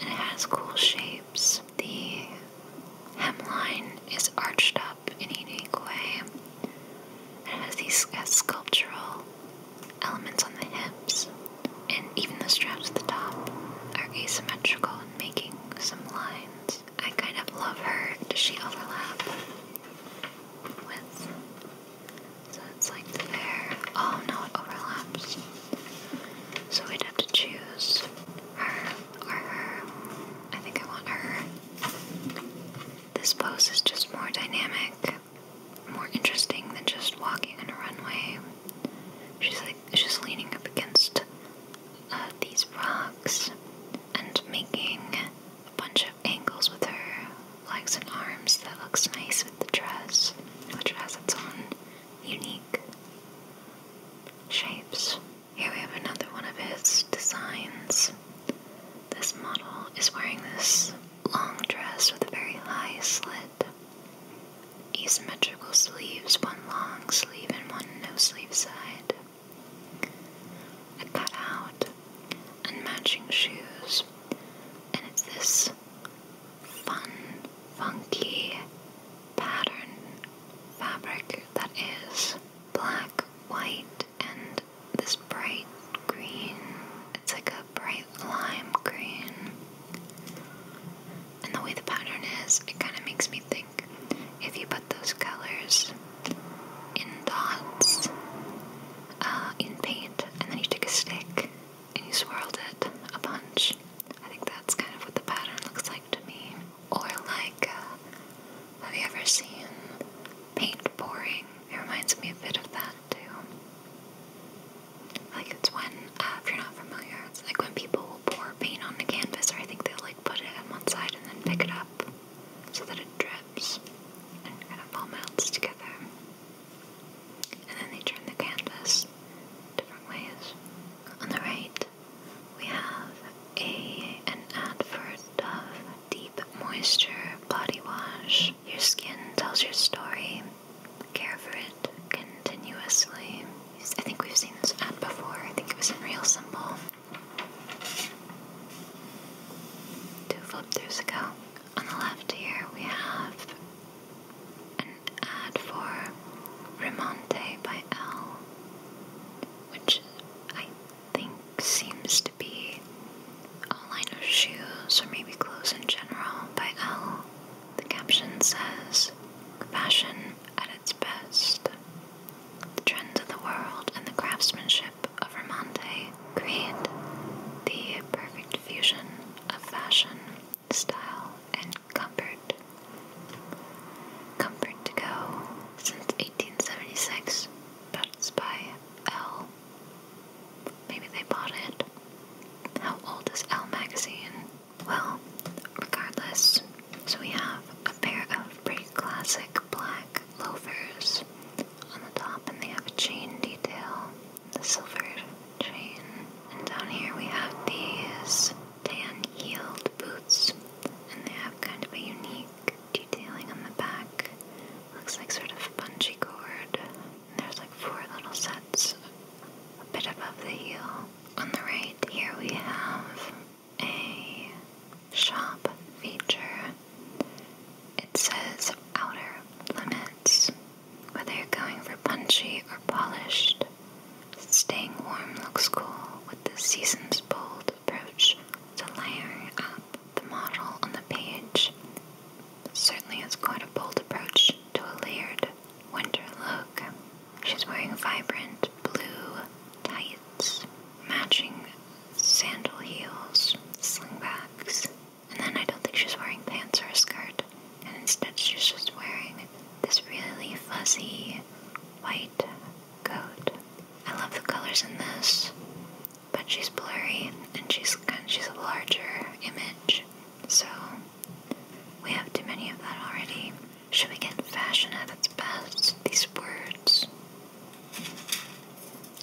And it has cool shapes. The hemline is arched up in a unique way. And it has these uh, sculptural elements on the hips, and even the straps at the top are asymmetrical and making some lines. I kind of love her. Does she overlap with so it's like there. Oh no, it overlaps. So we'd have to choose her or her. I think I want her. This pose is just more dynamic, more interesting than just walking in a runway. She's like she's leaning up against uh, these rocks and making a bunch of angles with her legs and arms that looks nice with the dress, which has its own unique shapes. Here we have another one of his designs. This model is wearing this long dress with a very high slit, asymmetrical sleeves, one long sleeve and one no sleeve side, a cutout, and matching shoes. And it's this fun, funky pattern fabric that is black, white, and this bright green. It's like a bright lime green. And the way the pattern is, it kind of makes me think if you put those colors in dots, uh, in paint, and then you take a stick and you swirled it a bunch. I think that's kind of what the pattern looks like to me. Or like, uh, have you ever seen paint pouring? It reminds me a bit of that too. Like it's when, uh, if you're not familiar, it's like when people will pour paint on the canvas, or I think they'll like put it on one side and then pick it up so that it drips and kind of all melts together. And then they turn the canvas different ways. On the right, we have a an ad for Dove Deep Moisture Body Wash. Your skin tells your story. Care for it continuously. I think we've seen this ad before. I think it was in Real Simple. Two flip throughs ago on the left here we have an ad for Remonte by L, which I think seems to be a line of shoes or maybe clothes in general by L. The caption says, Fashion at its best. The trends of the world and the craftsmanship of Remonte create the perfect fusion a fashion, style, and comfort. Comfort to Go since 1876, but by Elle. Maybe they bought it. How old is Elle magazine? Well, regardless, so we have a pair of pretty classic black loafers on the top, and they have a chain detail the silver chain. And down here we have these tan heeled boots. And they have kind of a unique detailing on the back. Looks like sort of bungee cord. And there's like four little sets a bit above the heel. On the right here we have a shop feature. It says outer limits whether you're going for punchy or polished, staying warm looks cool with this season's bold approach to layering up the model on the page. certainly is quite a bold approach to a layered winter look. She's wearing vibrant blue tights, matching sandal heels, slingbacks, and then I don't think she's wearing pants or a skirt. And instead she's just wearing this really fuzzy white coat. I love the colors in this, but she's blurry and she's kind of, she's a larger image. So we have too many of that already. Should we get fashion at its best? These words.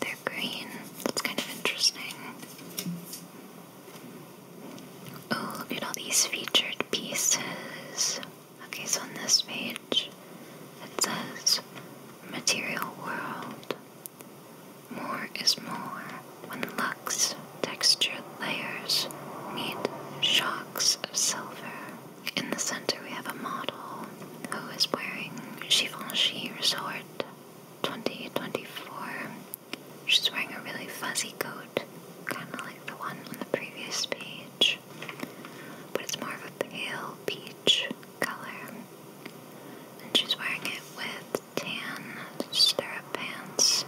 They're green. That's kind of interesting. Oh, look at all these featured pieces. Okay, so on this page it says Material World. More is more when luxe textured layers meet shocks of silver. In the center, we have a model who is wearing Givenchy Resort 2024 She's wearing a really fuzzy coat, kind of like the one on the previous page, but it's more of a pale peach color. And she's wearing it with tan stirrup pants,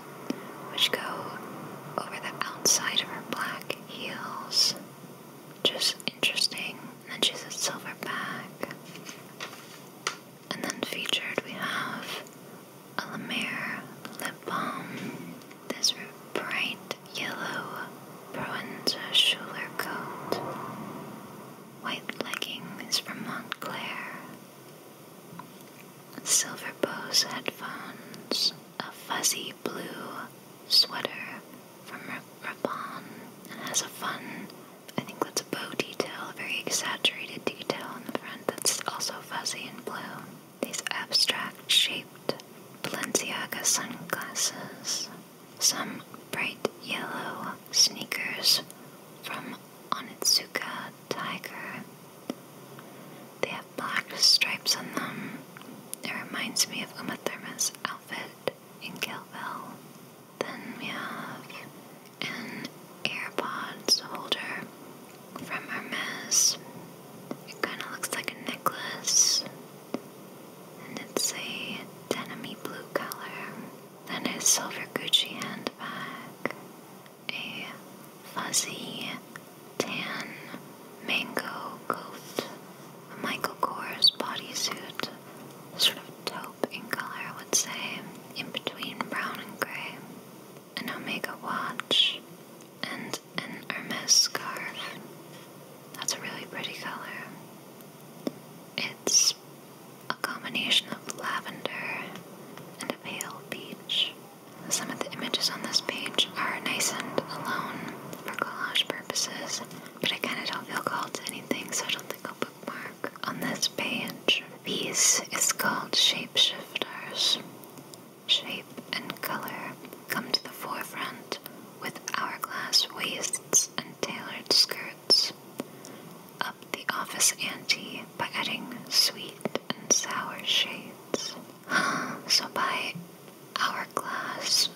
which go over the outside of her black heels. Just interesting. And then she's a silver bag. And then featured we have a La lip balm. This bright yellow Proenza Schuler coat. White leggings from Montclair. Silver Bose headphones. A fuzzy blue sweater from Raban. And has a fun, I think that's bow detail, very exaggerated detail on the front that's also fuzzy and blue. These abstract shaped Balenciaga sunglasses. Some bright yellow sneakers from Onitsuka Tiger. They have black stripes on them. It reminds me of Uma Thurman's outfit in Kill Bill. Then we have an AirPods holder from Hermes. It kind of looks like a necklace, and it's a denim blue color. Then a silver Gucci handbag, a fuzzy tan mango coat, a Michael Kors bodysuit, sort of taupe in color, I would say, in between brown and gray an Omega watch, and an Hermes scarf. That's a really pretty color. It's a combination of lavender and a pale peach. Some of the images on this page are nice and alone for collage purposes, but I kind of don't feel called to anything, so I don't think I'll bookmark. On this page, these is called shapeshifters. Shape and color come to the forefront with hourglass waists and tailored skirts. Up the office ante by adding sweet and sour shades. so by hourglass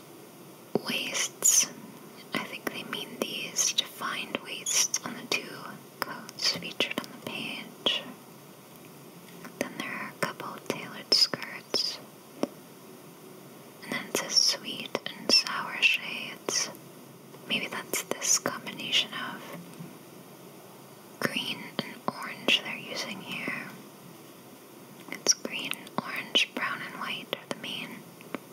waists, I think they mean these defined waists on the two coats featured on the page. Then there are a couple tailored skirts. And then it says sweet and sour shades. Maybe that's this combination of green and orange they're using here. It's green, orange, brown, and white are the main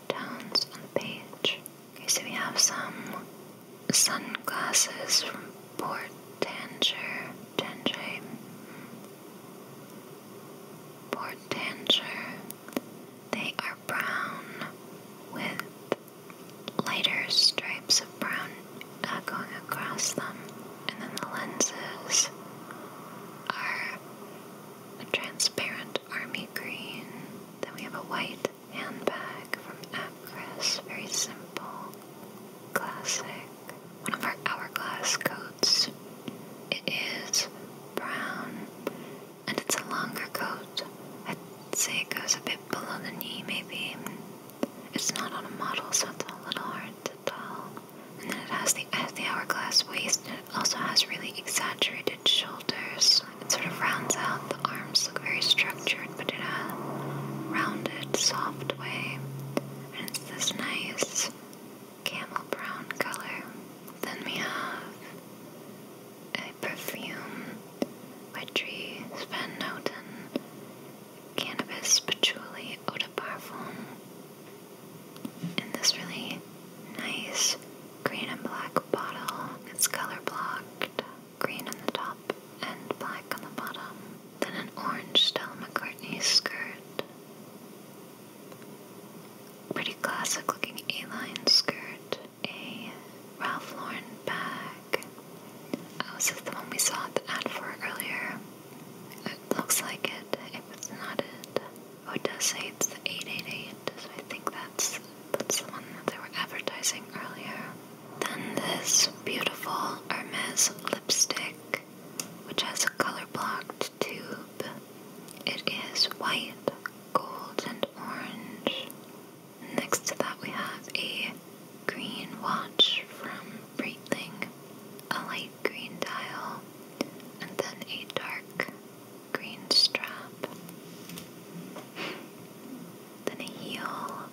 tones on the page. Okay, so we have some sunglasses from Port Tanger. Tanger. Port Tanger. They are brown with lighter stripes of brown uh, going across them. And then the lenses are a transparent army green. Then we have a white handbag from Acris, very simple, classic. One of our hourglass coats. It is brown and it's a longer coat. I'd say it goes a bit below the knee, maybe. It's not on a model, so it's a little hard to tell. And then it has the, hourglass waist, it also has really exaggerated shoulders. It sort of rounds out. The arms look very strong but in a rounded, soft way. And it's this nice camel brown color. Then we have a perfume by Tree Cannabis Patchouli Eau de Parfum. In this really nice green and black bottle, it's color blocked green on the top and black on the bottom, then an orange Stella McCartney skirt, pretty classic looking A-line skirt, a Ralph Lauren bag. Oh, this is the one we saw the ad for earlier. It looks like it, It was not it. Oh, it does say it's 888, so I think that's, that's the one that they were advertising earlier. Then this beautiful Hermes lipstick, which has a color blocked tube. It is white, gold, and orange. Next to that, we have a green watch from Breitling, a light green dial, and then a dark green strap. Then a heel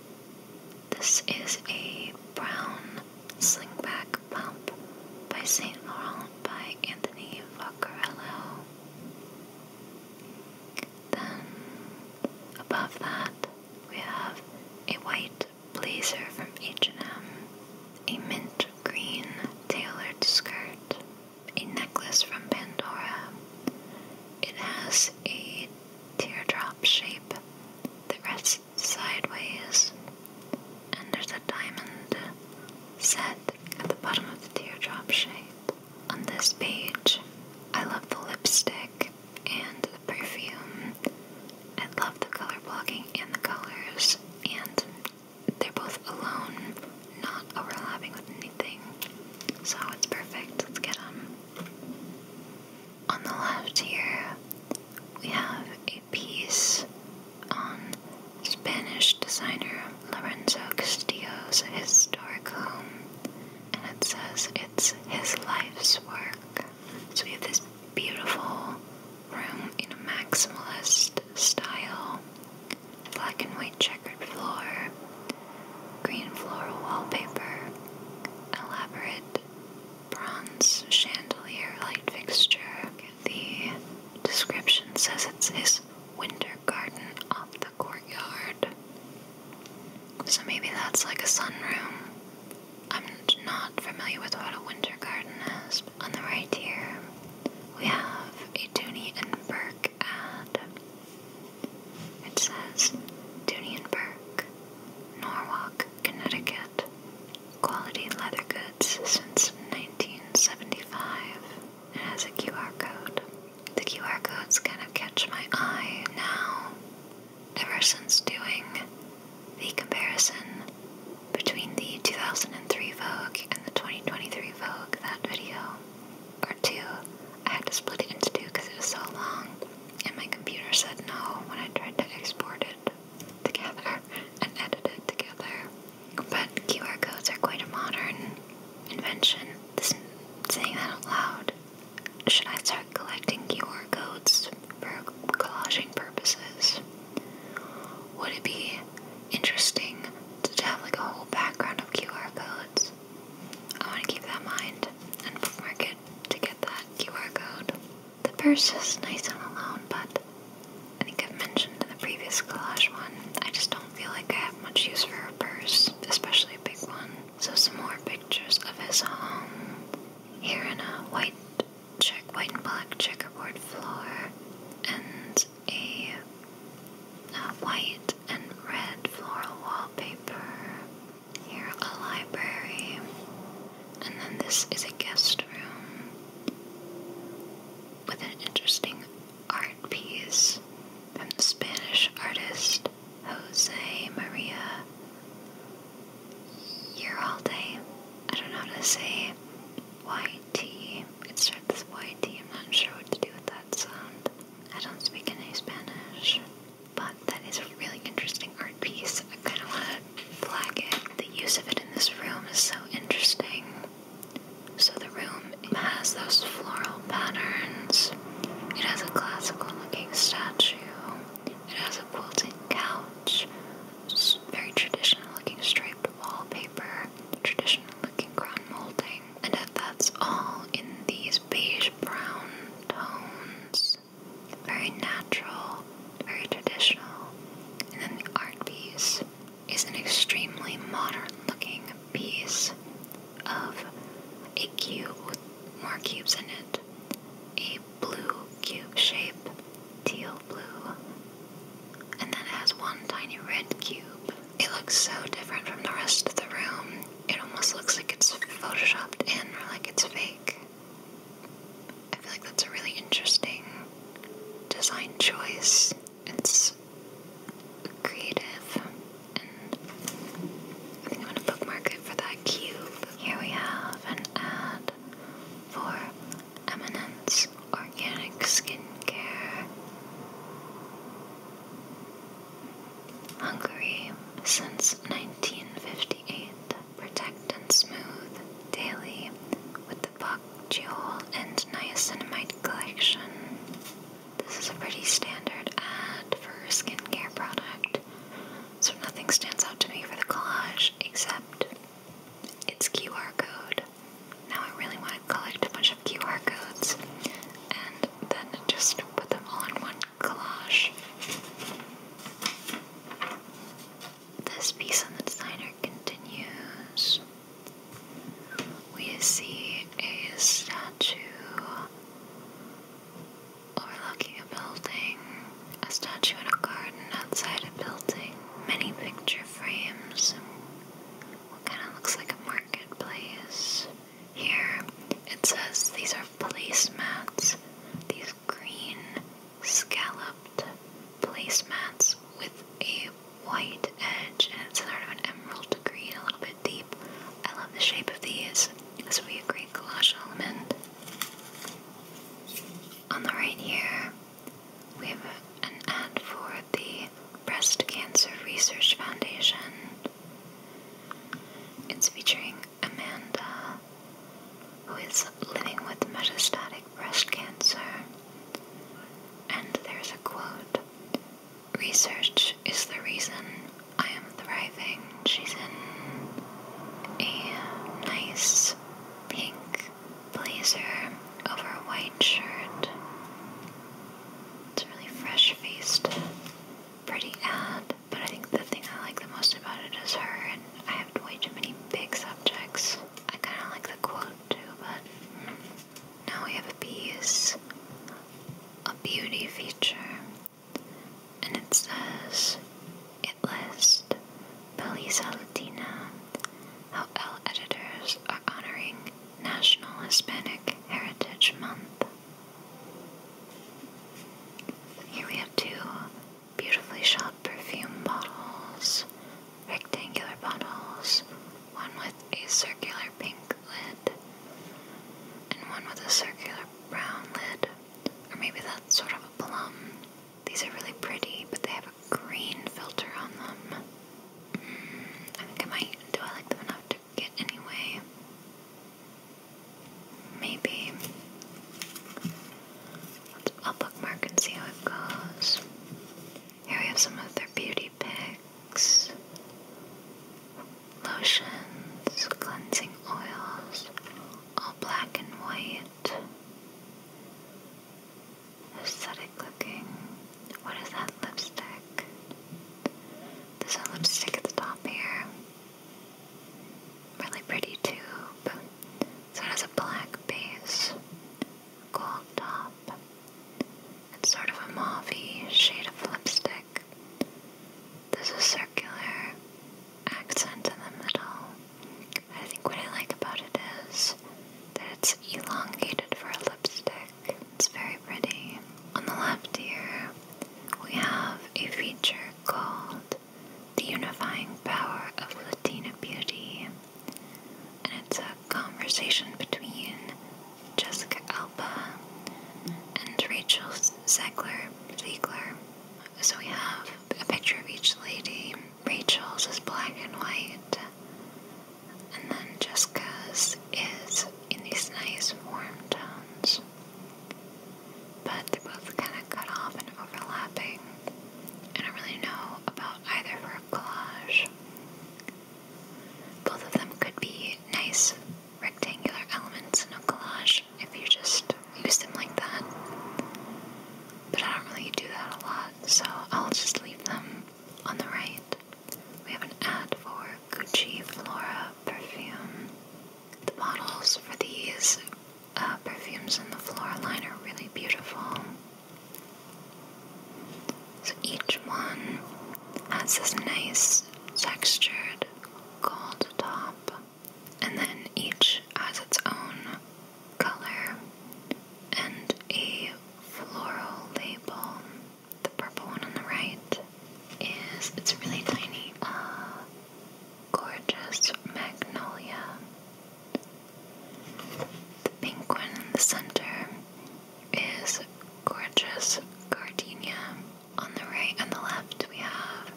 this is a brown slingback pump by Saint Laurent by Anthony Vaccarello. Then above that we have a white blazer from H&M, a mint green tailored skirt, a necklace from Pandora. It has a teardrop shape that rests sideways, and there's a diamond set at the bottom of the teardrop shape. On this page, I love the lipstick and the perfume. I love the color blocking and the colors, and they're both alone, not overlapping with anything. So it's perfect. Let's get them. On the left here, we have a piece on Spanish designer Lorenzo Castillo's historic home, and it says it's his life's work. So we have this beautiful room in a maximalist style, black and white checkered floor, green floral wallpaper, elaborate bronze chandelier light fixture. The description says it's his winter garden off the courtyard. So maybe that's like a sunroom. I'm not familiar with what a winter garden is. On the right here, we have a Dooney and Burke ad. It says Dunienburg, Norwalk, Connecticut. Quality leather goods since 1975. It has a QR code. The QR codes kind of catch my eye now. Ever since doing the comparison between the 2003 Vogue and the 2023 Vogue, that video, or two, I had to split it into two because it was so long and my computer said no when I tried to export it together and edit it together. But QR codes are quite a modern invention. saying that aloud, should I start collecting QR codes for collaging purposes? Would it be interesting to have like a whole background of QR codes? I want to keep that in mind and bookmark it to get that QR code. The purse is nice and alone, but I think I've mentioned in the previous collage one, I just don't feel like I have much use for a purse, especially a big one. So some more pictures of his home. Here in a white check, white and black checkerboard floor, and a, a uh, white and red floral wallpaper. Here, a library. And then this is a guest room with an interesting art piece from the Spanish artist Jose Maria Uralde. I don't know how to say YT. It starts with Y am not sure what to do with that sound. I don't speak any Spanish but that is a really interesting art piece. I kind of want to flag it. The use of it in this room is so interesting. So, the room has those floral patterns, it has a classical looking statue, it has a quilted couch, very traditional looking striped wallpaper, traditional looking crown molding, and that's all in these beige brown tones very natural, very traditional. And then the art piece is an extremely modern looking piece of a cube with more cubes in it. A blue cube shape, teal blue, and then it has one tiny red cube. It looks so different from the rest of the room. It almost looks like it's photoshopped in or like it's fake. I feel like that's a really interesting design choice. It's creative, and I think I'm gonna bookmark it for that cube. Here we have an ad for Eminence Organic Skincare. Hungary since 1958 protect and smooth daily with the Buck Jewel and Niacinamide collection. This is a pretty standard ad for a skincare product, so nothing stands out to me for the collage except its QR code. Now I really want to collect a bunch of QR codes and then just put them all in one collage. This piece on the designer continues. We see a statue overlooking a building, a statue in a garden outside a building, many picture frames, what kind of looks like a marketplace. Here it says these are placemats. These green scalloped placemats with a white edge, and it's sort of an emerald green, a little bit deep. I love the shape of these. This would be a great collage element. On the right here, we have an ad for the Breast Cancer Research Foundation. It's featuring Amanda, who is living with metastatic breast cancer. And there's a quote Research is the reason I am thriving. She's in a nice pink blazer over a white shirt. It's really fresh faced, pretty ad. But I think the thing I like the most about it is her, and I have way too many big subjects. I kind of like the quote too, but now we have a piece, a beauty feature, and it says it lists Belisa Latina, how L editors are honoring National Hispanic Heritage Month. Here we have two beautifully shot perfume bottles, rectangular bottles, one with a circular pink lid, and one with a circular brown lid, or maybe that's sort of a plum. These are really pretty, but they have a green filter on them. Hmm, I think I might. Do I like them enough to get anyway? Maybe I'll bookmark and see how it goes. Here we have some other beauty picks, lotions, cleansing oils, all black and white. Aesthetic looking. What is that lipstick? There's a lipstick at the top here. Really pretty tube. So it has a black base, gold top, and sort of a mauvey shade of lipstick. There's a circular accent in the middle. I think what I like about it is that it's elongated for a lipstick. It's very pretty. On the left here, we have a feature called the unifying power of Latina beauty. And it's a conversation between Jessica Alba and Rachel Zegler. Ziegler. So we have a picture of each lady. Rachel's is black and white, and then Jessica's is in these nice warm tones but they're both kind of cut off and overlapping. I don't really know about either for a collage. Both of them could be nice rectangular elements in a collage if you just use them like that. But I don't really do that a lot, so I'll just leave them on the right. We have an ad for Gucci Flora perfume. The bottles for these uh, perfumes in the floral line are really beautiful. So each one has this nice textured gold top, and then each has its own color and a floral label. The purple one on the right is, it's really tiny, uh, gorgeous magnolia. The pink one in the center is gorgeous gardenia. On the right and the left, we have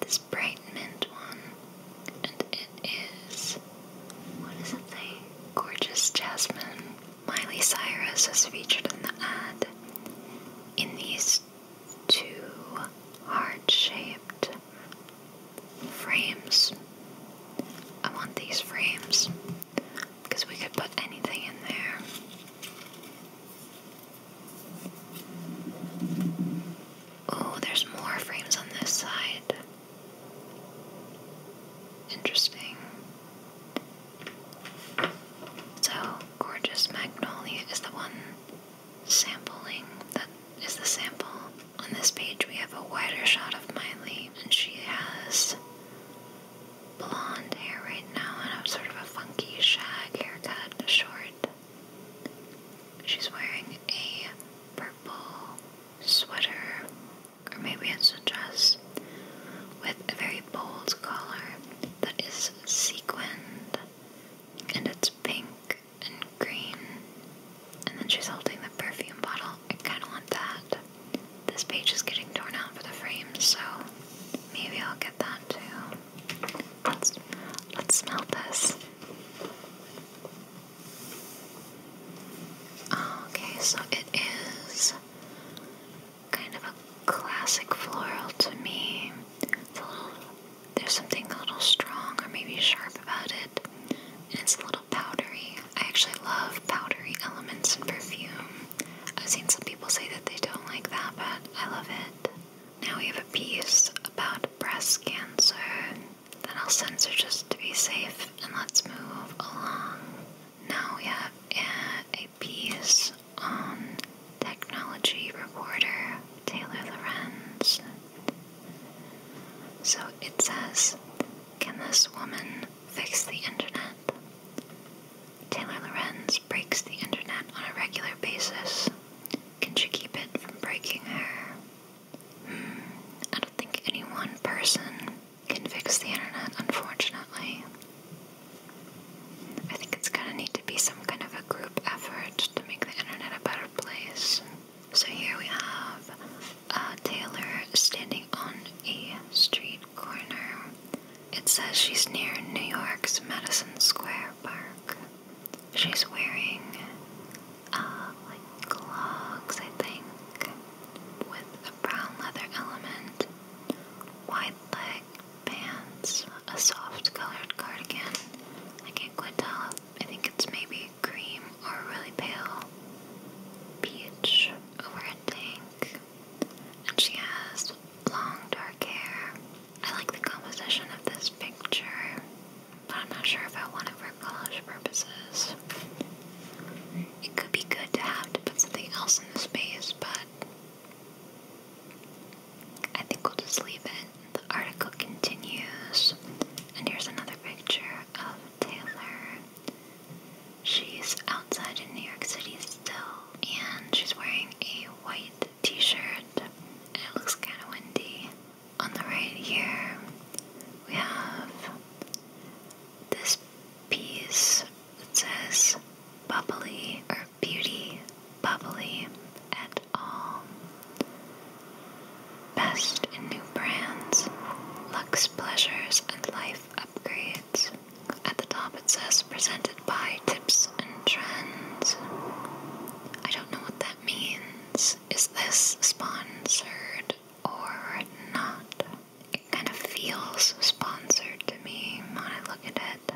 this bright mint one, and it is what is it? Say, gorgeous jasmine. Miley Cyrus is featured in the ad in these two heart shaped frames. I want these frames because we could put anything in there. Oh, there's more frames on this side. Interesting. So, Gorgeous Magnolia is the one sampling that is the sample. On this page, we have a wider shot of Miley, and she has blonde hair right now and a sort of a funky shag haircut, short. She's wearing a purple sweater, or maybe it's a dress, with a very bold collar that is sequined and it's pink and green. And then she's holding the perfume bottle. I kind of want that. This page is getting torn out for the frame, so maybe I'll get that too. Let's let's smell this. Okay, so it is kind of a classic floral to me. It's there's something a little strong or maybe sharp about it, and it's a little powdery. I actually love powdery elements in perfume. I've seen some people say that they don't like that, but I love it. Now we have a piece about breast cancer that I'll censor just to be safe, and let's move along. Now we have a, uh, a piece on technology reporter Taylor Lorenz. So it says, Can this woman fix the internet? Taylor Lorenz breaks the internet on a regular basis. Can she keep it from breaking her? Hmm, I don't think any one person can fix the internet, unfortunately. I think it's gonna need to be some kind of a group effort to make the internet a better place. So here we have uh, Taylor standing on a street corner. It says she's near New York's Madison Square Park. She's wearing uh, like clogs, I think, with a brown leather element, wide leg pants, a soft colored cardigan. I can't quite tell I think it's maybe cream or really pale peach over a pink, And she has long dark hair. I like the composition of this picture, but I'm not sure if I want it for collage purposes. It could be good to have to put something else in the space, but I think we'll just leave it the article continues, and here's another picture of Taylor. She's outside in New York City still, and she's wearing a white t shirt. It looks kind of windy. On the right here, we have this piece that says bubbly or beauty bubbly at all. Best in new brands, luxe pleasures, and life upgrades. At the top it says presented by Tips and Trends. I don't know what that means. Is this sponsored or not? It kind of feels sponsored to me when I look at it,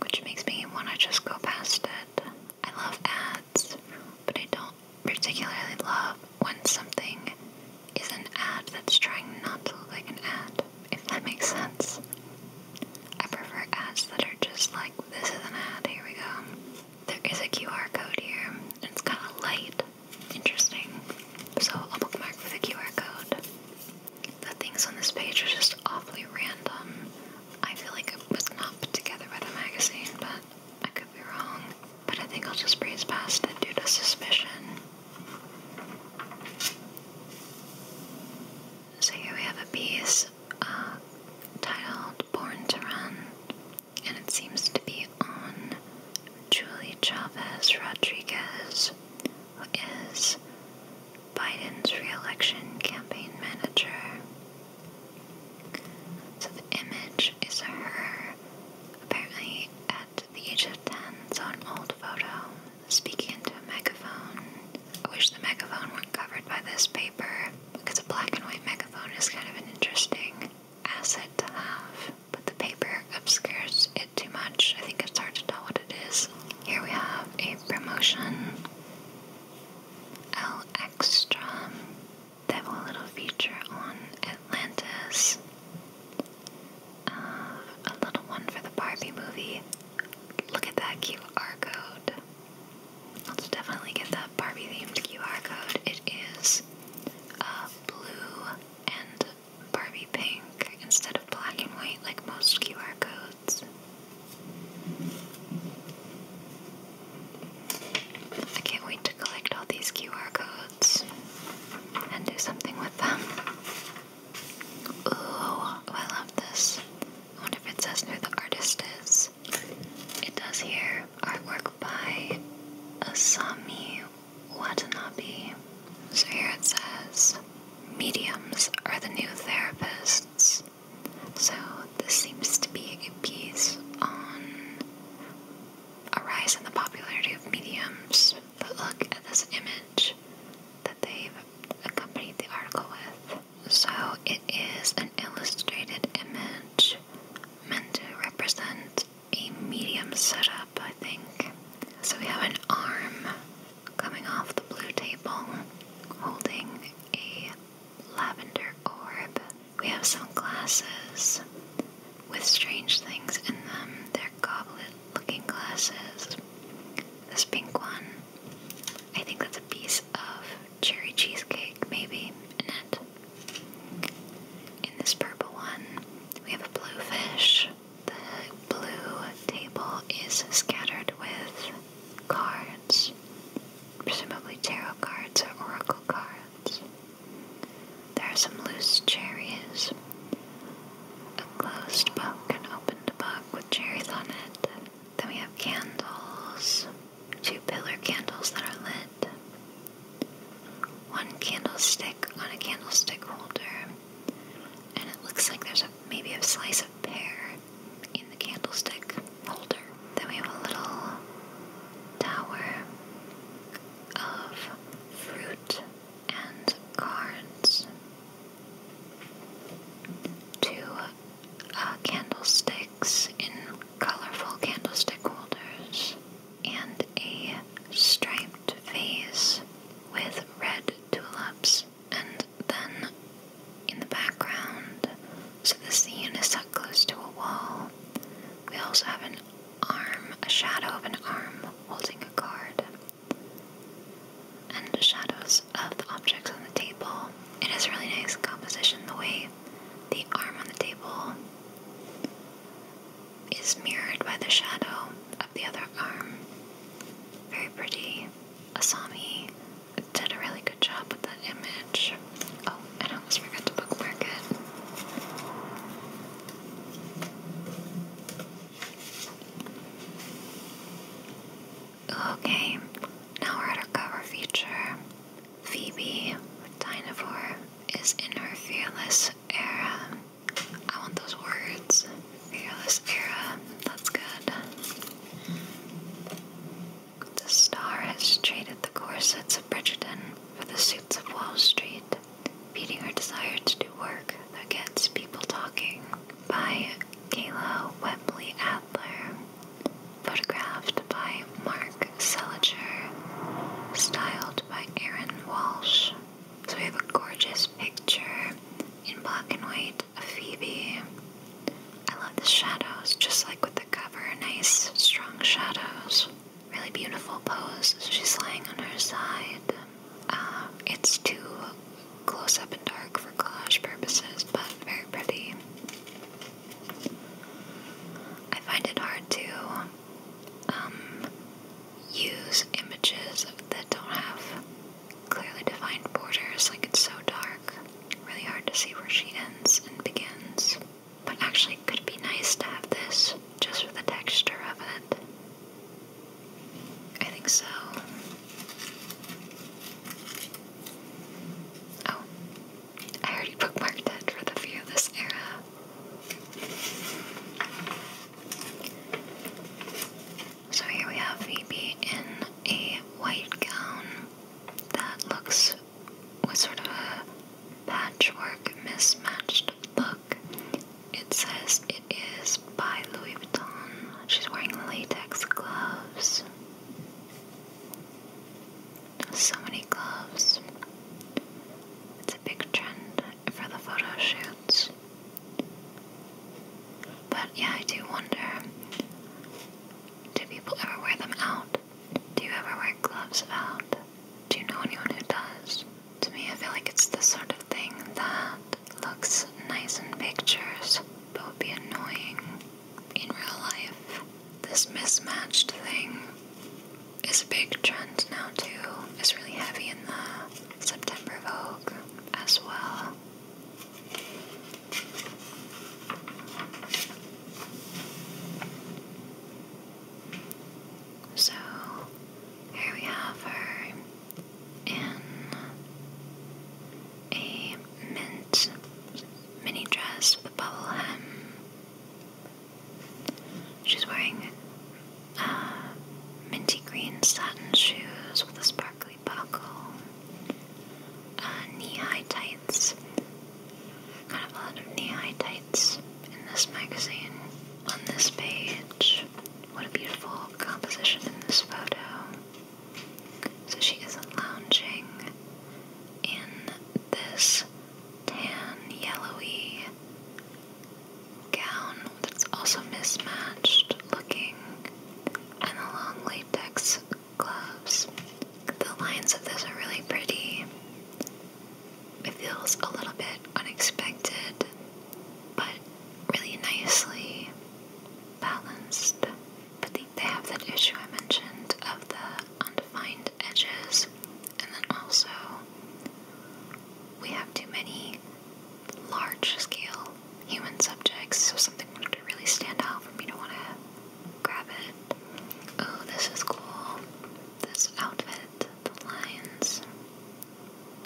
which makes me want to just go past it. I love ads, but I don't particularly love when something is an ad that's trying not to look like an ad, if that makes sense. I prefer ads that are just like, this is an ad, here we go. There is a QR code here, It's kind of light. Interesting. So I'll bookmark for the QR code. The things on this page are just awfully random. I feel like it was not put together by the magazine, but I could be wrong, but I think I'll just breeze past it due to suspicion. So here we have a piece uh, titled Born to Run, and it seems to be on Julie Chavez Rodriguez, who is Biden's re election campaign manager. So the image is her, apparently at the age of 10, so an old photo, speaking into a megaphone. I wish the megaphone weren't covered by this paper, because a black and white megaphone is kind of an interesting asset to have, but the paper obscures it too much. I think it's hard to tell what it is. Here we have a promotion. L Extra. That little feature on Atlantis, uh, a little one for the Barbie movie. Look at that QR code. Let's definitely get that Barbie themed QR code. It is uh, blue and Barbie pink instead of black and white like most QR codes. I can't wait to collect all these QR codes and do something with them. Ooh, I love this. wonder if it says who the artist is. It does here. Artwork by Asami Watanabe. So here it says mediums are the new therapists. So this seems to be a piece on a rise in the popularity of mediums, but look at this image that they've accompanied the article with. So it is an illustrated image meant to represent a medium setup, I think. So we have an arm coming off the blue table holding a lavender orb. We have some glasses with strange things in them. They're goblet looking glasses. This pink one, I think that's a piece of cherry cheesecake, maybe, in it. In this purple one, we have a blue fish. The blue table is scattered with cards, presumably tarot cards or oracle cards. There are some loose cherries. A closed book and opened book with cherries on it. Then we have candles. Two pillar candles that are lit. One candlestick on a candlestick holder. And it looks like there's maybe a slice of pear in the candlestick holder. Then we have a little tower of fruit and cards. Two uh, candlesticks in colorful candlestick holders, and a striped vase with red tulips. And then in the background, so the scene is set close to a wall. We also have an arm, a shadow of an arm holding a card, and shadows of the objects on the table. It is really nice composition the way the arm on the table is mirrored by the shadow of the other arm. Very pretty. Asami did a really good job with that image. Oh, I almost forgot to bookmark it. Okay, now we're at our cover feature. Phoebe, with Dinosaur, is in her fearless era. I want those words. Fearless era. That's good. The star has traded the corsets of Bridgeton for the of Wall Street, feeding her desire to do work that gets people talking, by Kayla Wembley Adler, photographed by Mark Seliger, styled by Aaron Walsh. So we have a gorgeous picture in black and white of Phoebe. I love the shadows, just like with the cover, nice strong shadows really beautiful pose. She's lying on her side. Uh, it's too close up and dark for collage purposes, but very pretty. I find it hard to um, use images that don't have clearly defined borders, like it's so dark. Really hard to see where she ends and begins. But actually, it could be nice to have this just for the texture of it. I think so. Oh, I already bookmarked it for the View of This Era. So here we have Phoebe in a white gown that looks was sort of a patchwork, mismatched look. It says it is by Louis Vuitton. She's wearing latex gloves. So many gloves. It's a big trend for the photo shoots. But yeah, I do wonder do people ever wear them out? Do you ever wear gloves out? Do you know anyone who does? To me, I feel like it's the sort of thing that looks nice in pictures but would be annoying in real life. This mismatched thing is a big trend now, too. It's really heavy in the September Vogue as well. So here we have her in a mint mini dress with a bubble hem. She's wearing uh, minty green satin shoes with a sparkly buckle, uh, knee high tights, kind of a lot of knee-high tights in this magazine. On this page, what a beautiful composition in this photo. So she is lounging in this tan, yellowy gown that's also mismatched looking, and the long latex gloves. The lines of this are really pretty it feels a little bit unexpected, but really nicely balanced. But they, have that issue I mentioned of the undefined edges, and then also we have too many large scale human subjects, so something wanted to really stand out for me to want to grab it. Oh, this is cool. This outfit the lines.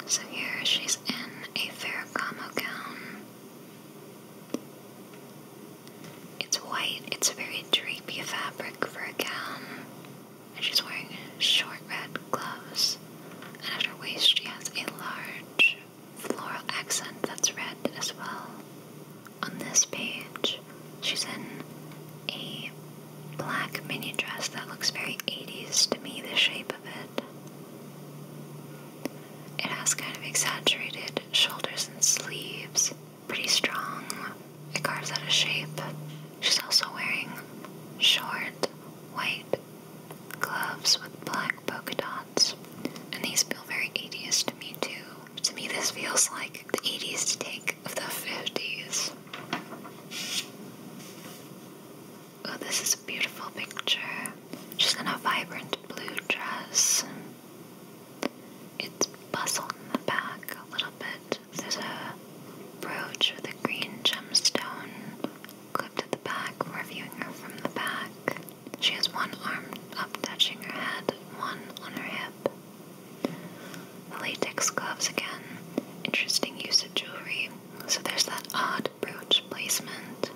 So here she's in a Ferragamo gown. It's white, it's a very drapey fabric for a gown. And she's wearing short red gloves. And at her waist, she has a large floral accent that's red as well. On this page, She's in a black mini dress that looks very 80s to me, the shape of it. It has kind of exaggerated shoulders and sleeves, pretty strong. It carves out a shape. She's also wearing short white gloves with black polka dots, and these feel very 80s to me, too. To me, this feels like the 80s take of the 50s. Oh, this is a beautiful picture. She's in a vibrant blue dress. It's bustled in the back a little bit. There's a brooch with a green gemstone clipped at the back. We're viewing her from the back. She has one arm up touching her head, one on her hip latex gloves again, interesting use of jewelry. So there's that odd brooch placement.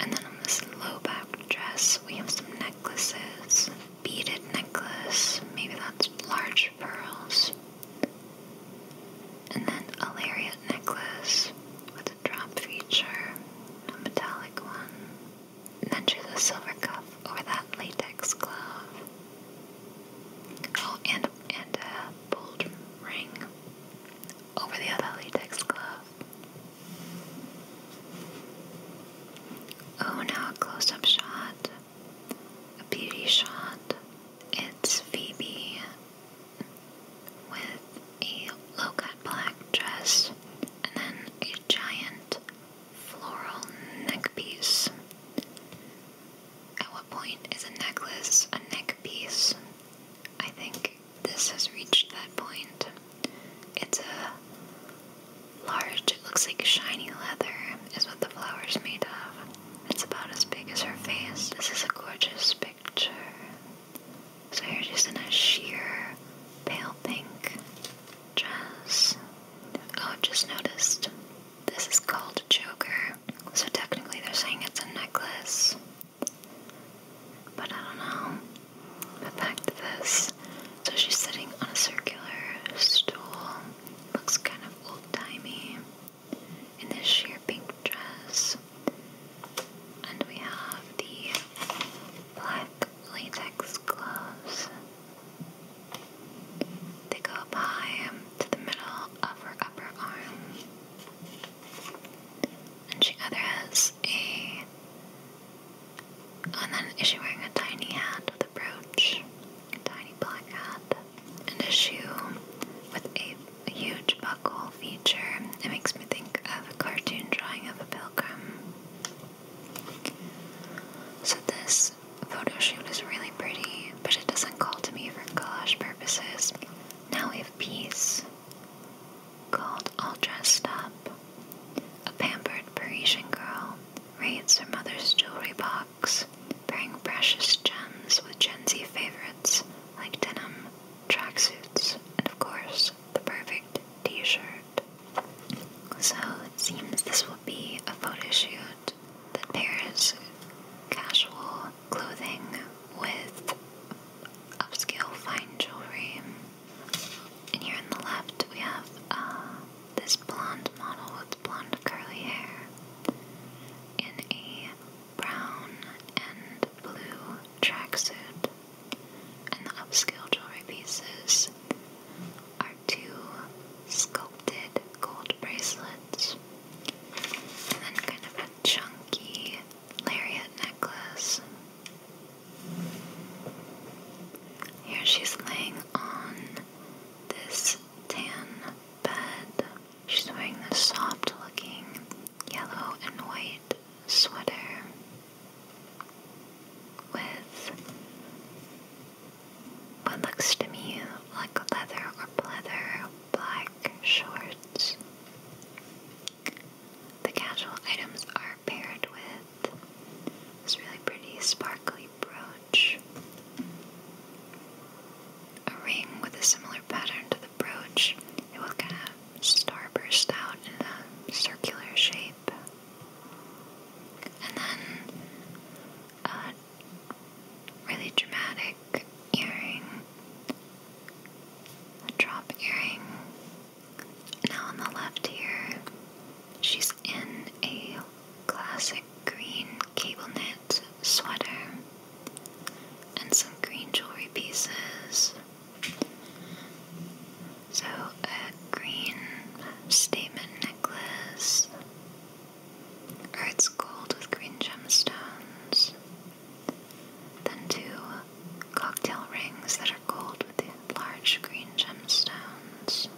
And then on this low back dress, we have some necklaces. Beaded necklace, maybe that's large pearls. And then a lariat necklace with a drop feature, a metallic one. then choose a silver cuff or that latex glove. Oh, and and a bold ring over the other latex glove. Oh, now a close-up shot, a beauty shot. It's Phoebe with a low-cut black dress and then a giant floral neckpiece. At what point is a necklace a neck piece? I think this has reached that point. It's a large, it looks like shiny leather, is what the flower's made of. It's about as big as her face. This is a gorgeous picture. So here just in a sheer pale pink dress. Oh, just noticed. This is called Joker. So technically they're saying it's a necklace. But I don't know. But back this. So she's sitting on a circular stool. Looks kind of old-timey. In this sheer pink dress. And we have the black latex gloves. They go up high um, to the middle of her upper arm. And she either has a. And then is she wearing a tiny hat with a brooch? A tiny black hat. And a shoe with a, huge buckle feature. It makes me think of a cartoon drawing of a pilgrim. So this photo shoot is really pretty, but it doesn't call to me for collage purposes. Now we have peace, called All Dressed Up. A pampered Parisian girl raids her mother's jewelry box, bringing precious gems with Gen Z favorites like denim, tracksuits, and of course, the perfect t shirt. So it seems this will be a photo shoot that pairs casual clothing with upscale fine jewelry. And here on the left, we have uh, this blonde model with blonde curly hair in a brown and blue tracksuit. And the upscale jewelry pieces are two sculpted gold bracelets and then kind of a chunky lariat necklace. Here she's laying on this tan bed. She's wearing this soft looking yellow and white sweater with what looks to me like leather or pleather black shorts. The casual items are paired with this really pretty sparkly brooch, a ring with a similar pattern to the brooch. It will kind of starburst out in a circular shape. And then a really dramatic earring, a drop earring. Now on the left here, she's in a classic green cable knit sweater and some green jewelry pieces. So, a green statement necklace, Earth's gold with green gemstones. Then two cocktail rings that are gold with large green gemstones.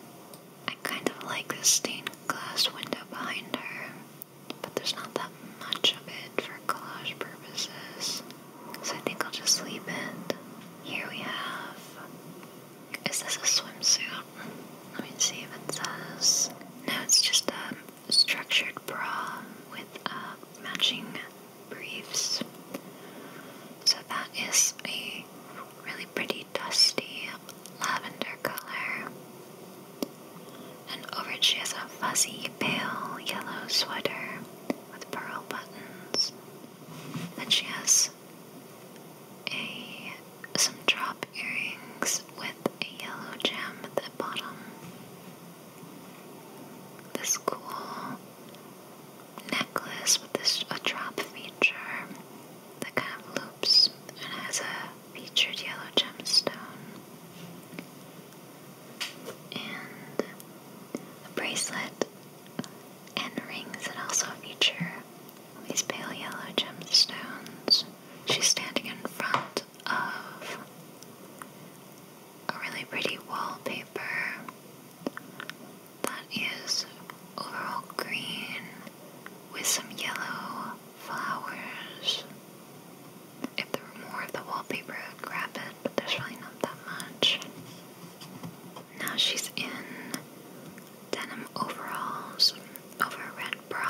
I kind of like the stained glass window behind her, but there's not that much of it for collage purposes, so I think I'll just leave it. Here we have. Is this a swimsuit? Let me see if it says. No, it's just a um, structured bra with uh, matching briefs. So that is a really pretty dusty lavender color. And over it she has a fuzzy pale yellow sweater with pearl buttons. And she has a some drop earrings with a yellow gem at the bottom. This cool necklace with this a drop feature that kind of loops and has a featured yellow gemstone. And a bracelet and rings that also feature these pale yellow gemstones. She's standing in front of a really pretty wallpaper that is overall green with some yellow flowers. If there were more of the wallpaper, I'd grab it, but there's really not that much. Now she's in denim overalls over a red bra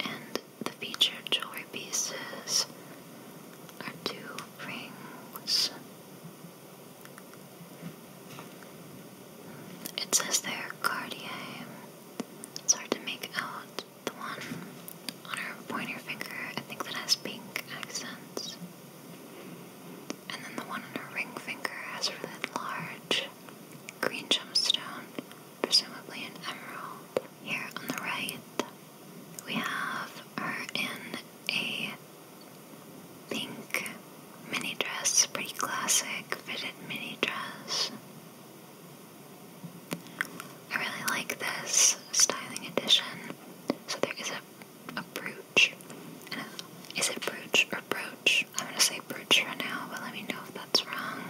and the featured jewelry pieces are two rings. It says they're Cartier. It's hard to make out the one on her pointer finger. I think that has pink accents. And then the one on her ring finger has a really large green gemstone presumably an emerald. Here on the right, we have her in a pink mini dress, pretty classic fitted mini dress. I really like this styling edition. So there is a, a brooch. is it brooch or brooch? I'm gonna say brooch for now, but let me know if that's wrong.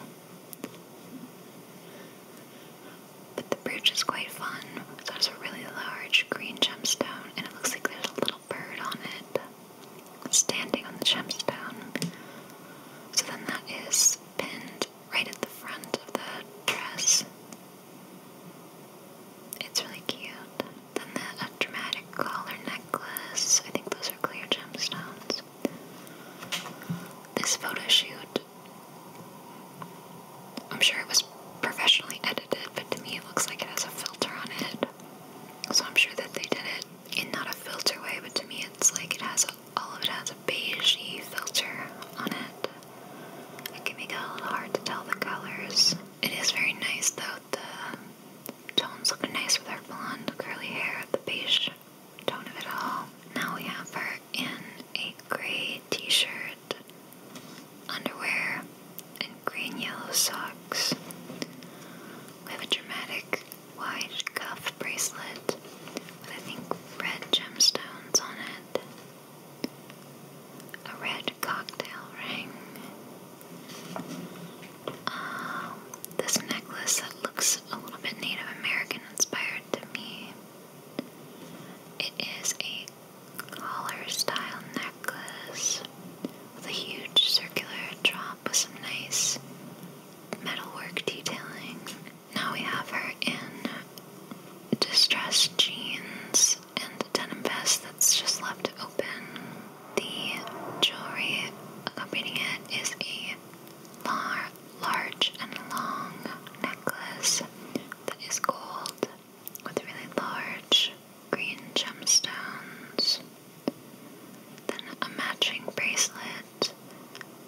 But the brooch is quite fun. So it's a really large green gemstone, and it looks like there's a little bird on it standing on the gemstone. So then that is pinned right at the front of the dress. It's really cute. Then the dramatic collar necklace. I think those are clear gemstones. This photo shoot, I'm sure it was professionally edited, but to me it looks like it has a filter on it. So I'm sure that they did it in not a filter way, but to me it's like it has all of it has a beigey filter on it. It can make it a little hard to tell the colors. It is very nice though. The tones look nice with her blonde curly hair. The beige tone of it all. Now we have her in a gray t shirt, underwear, and green yellow socks. We have a dramatic wide cuff bracelet with, I think, red gemstones on it, a red cocktail ring. Um, this necklace that looks a little bit Native American inspired to me. It is a collar style necklace with a huge circular drop with some nice metalwork detailing. Now we have her in distressed jeans and a denim vest that's just left open. The jewelry accompanying it is a bar large and long necklace that is gold with really large green gemstones. Then a matching bracelet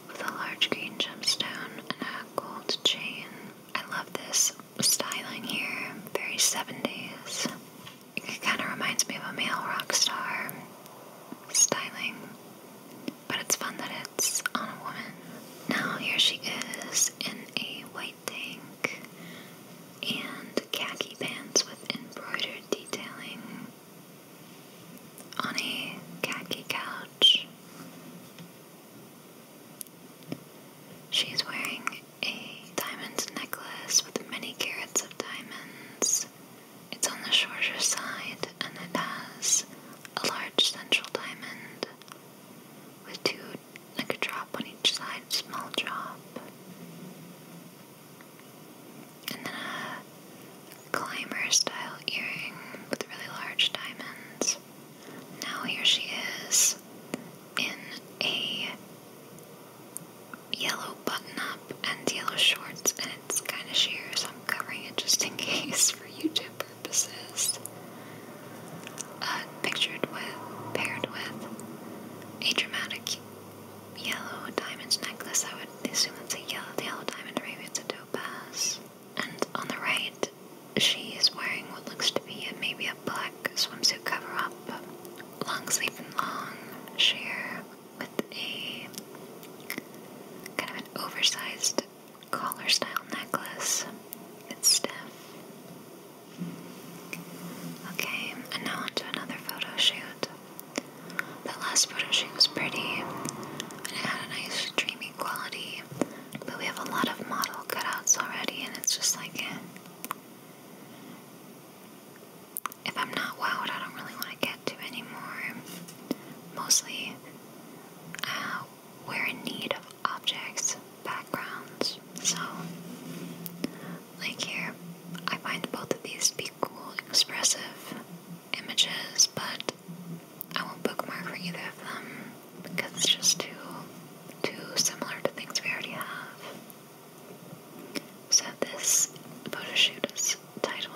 with a large green gemstone and a gold chain. I love this styling here, very 70s. It kind of reminds me of a male rock star styling but it's fun that it's on a woman. Now here she is in a white tank and khaki pants with embroidered detailing on a khaki couch. She's wearing a diamond necklace with many carats of diamonds it's on the shorter side and it has a large central diamond with two, like a drop on each side, small drop. And then a climber style earring with really large diamonds. Now here she is in a yellow button up and yellow shorts, and it's kind of sheer, so covering it just in case for YouTube purposes. Uh, pictured with, paired with a dramatic yellow diamond necklace. I would assume it's a yellow, diamond, maybe it's a topaz. And on the right, she is wearing what looks to be a, maybe a black swimsuit cover up, long sleeve and long sheer, with a kind of an oversized collar style necklace. It's stiff. Okay, and now onto another photo shoot. last photo was pretty and it had a nice dreamy quality, but we have a lot of model cutouts already, and it's just like eh. if I'm not wowed, I don't really want to get to anymore. Mostly uh, we're in need of objects, backgrounds. So, like here, I find both of these to be cool, expressive images, but I won't bookmark for either of them because it's just too too similar to things we already have. So this photo shoot is titled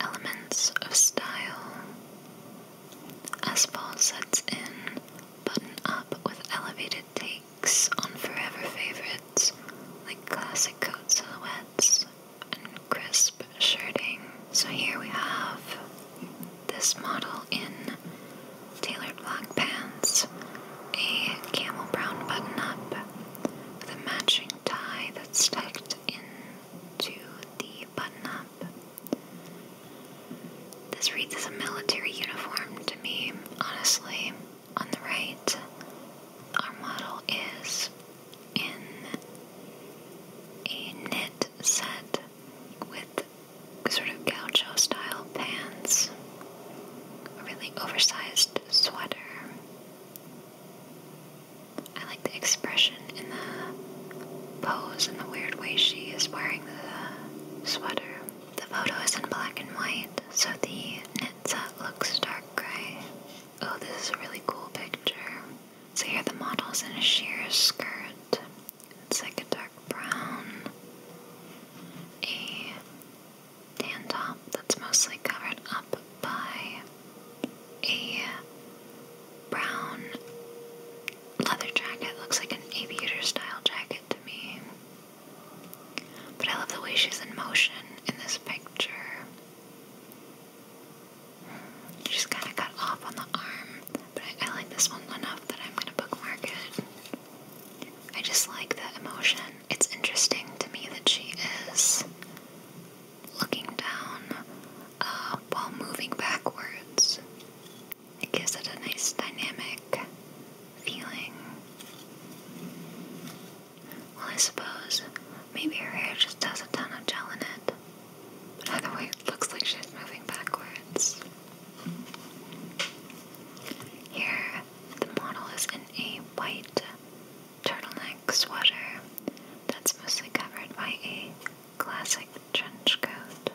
elements of style. As fall sets in, button up with elevated takes on forever favorites like classic coat silhouettes and crisp shirting. So here we have this model in tailored black pants, a camel brown button up with a matching tie that's tucked into the button up. This reads as a military uniform to me, honestly. On the right, our model is in a knit set with sort of gaucho style pants, a really oversized sweater, I like the expression in the pose and the weird way she is wearing the sweater. The photo is in black and white, so the knit set looks dark gray. Oh, this is a really cool picture. So here the model's in a sheer skirt. It's like a dark brown. A tan top that's mostly covered up by a brown leather jacket. Looks like an aviator style jacket to me. But I love the way she's in motion in this picture. She's kind of cut off on the arm, but I, I like this one enough that I'm going to bookmark it. I just like the emotion. It's interesting to me that she is looking down uh, while moving backwards. It gives it a nice dynamic feeling. Well, I suppose maybe her hair just has a ton of gel in it. But either way, it looks like she's moving backwards. Here, the model is in a white turtleneck sweater that's mostly covered by a classic trench coat.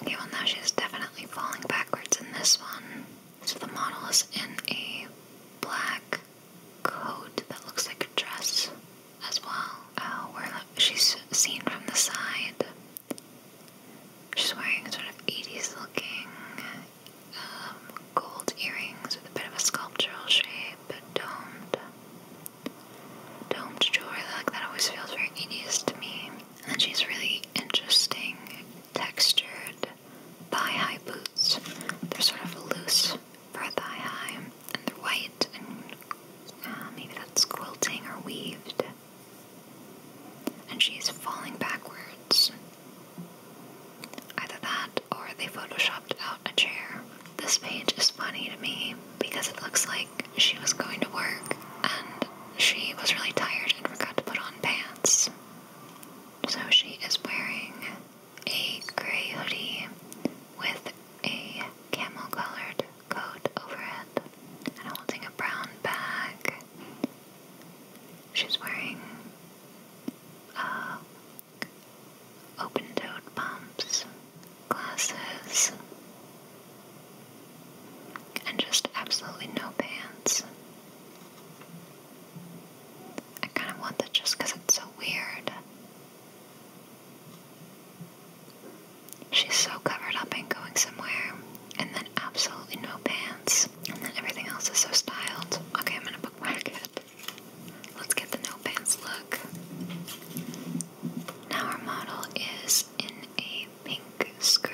Okay, well now she's definitely falling backwards in this one. So the model is in a black coat that looks like a dress as well. Oh, where she's seen from the side. She's wearing sort of 80s looking um, gold earrings with a bit of a sculptural shape, domed. Domed jewelry like that always feels very tedious to me. And then she's really interesting, textured thigh-high boots. They're sort of loose for a thigh-high, and they're white, and uh, maybe that's quilting or weaved. And she's falling backwards. Either that, or they photoshopped out a chair. This page is funny to me because it looks like she was going to work and she was really tired and forgot to put on pants. So she is wearing a gray hoodie with a camel colored coat over it and holding a brown bag. She's wearing open-toed pumps, glasses, and just absolutely no pants. I kind of want that just because it's so weird. She's so covered up and going somewhere, and then absolutely no pants, and then everything else is so styled. Okay, I'm gonna bookmark it. Let's get the no pants look. Now our model is in a pink skirt,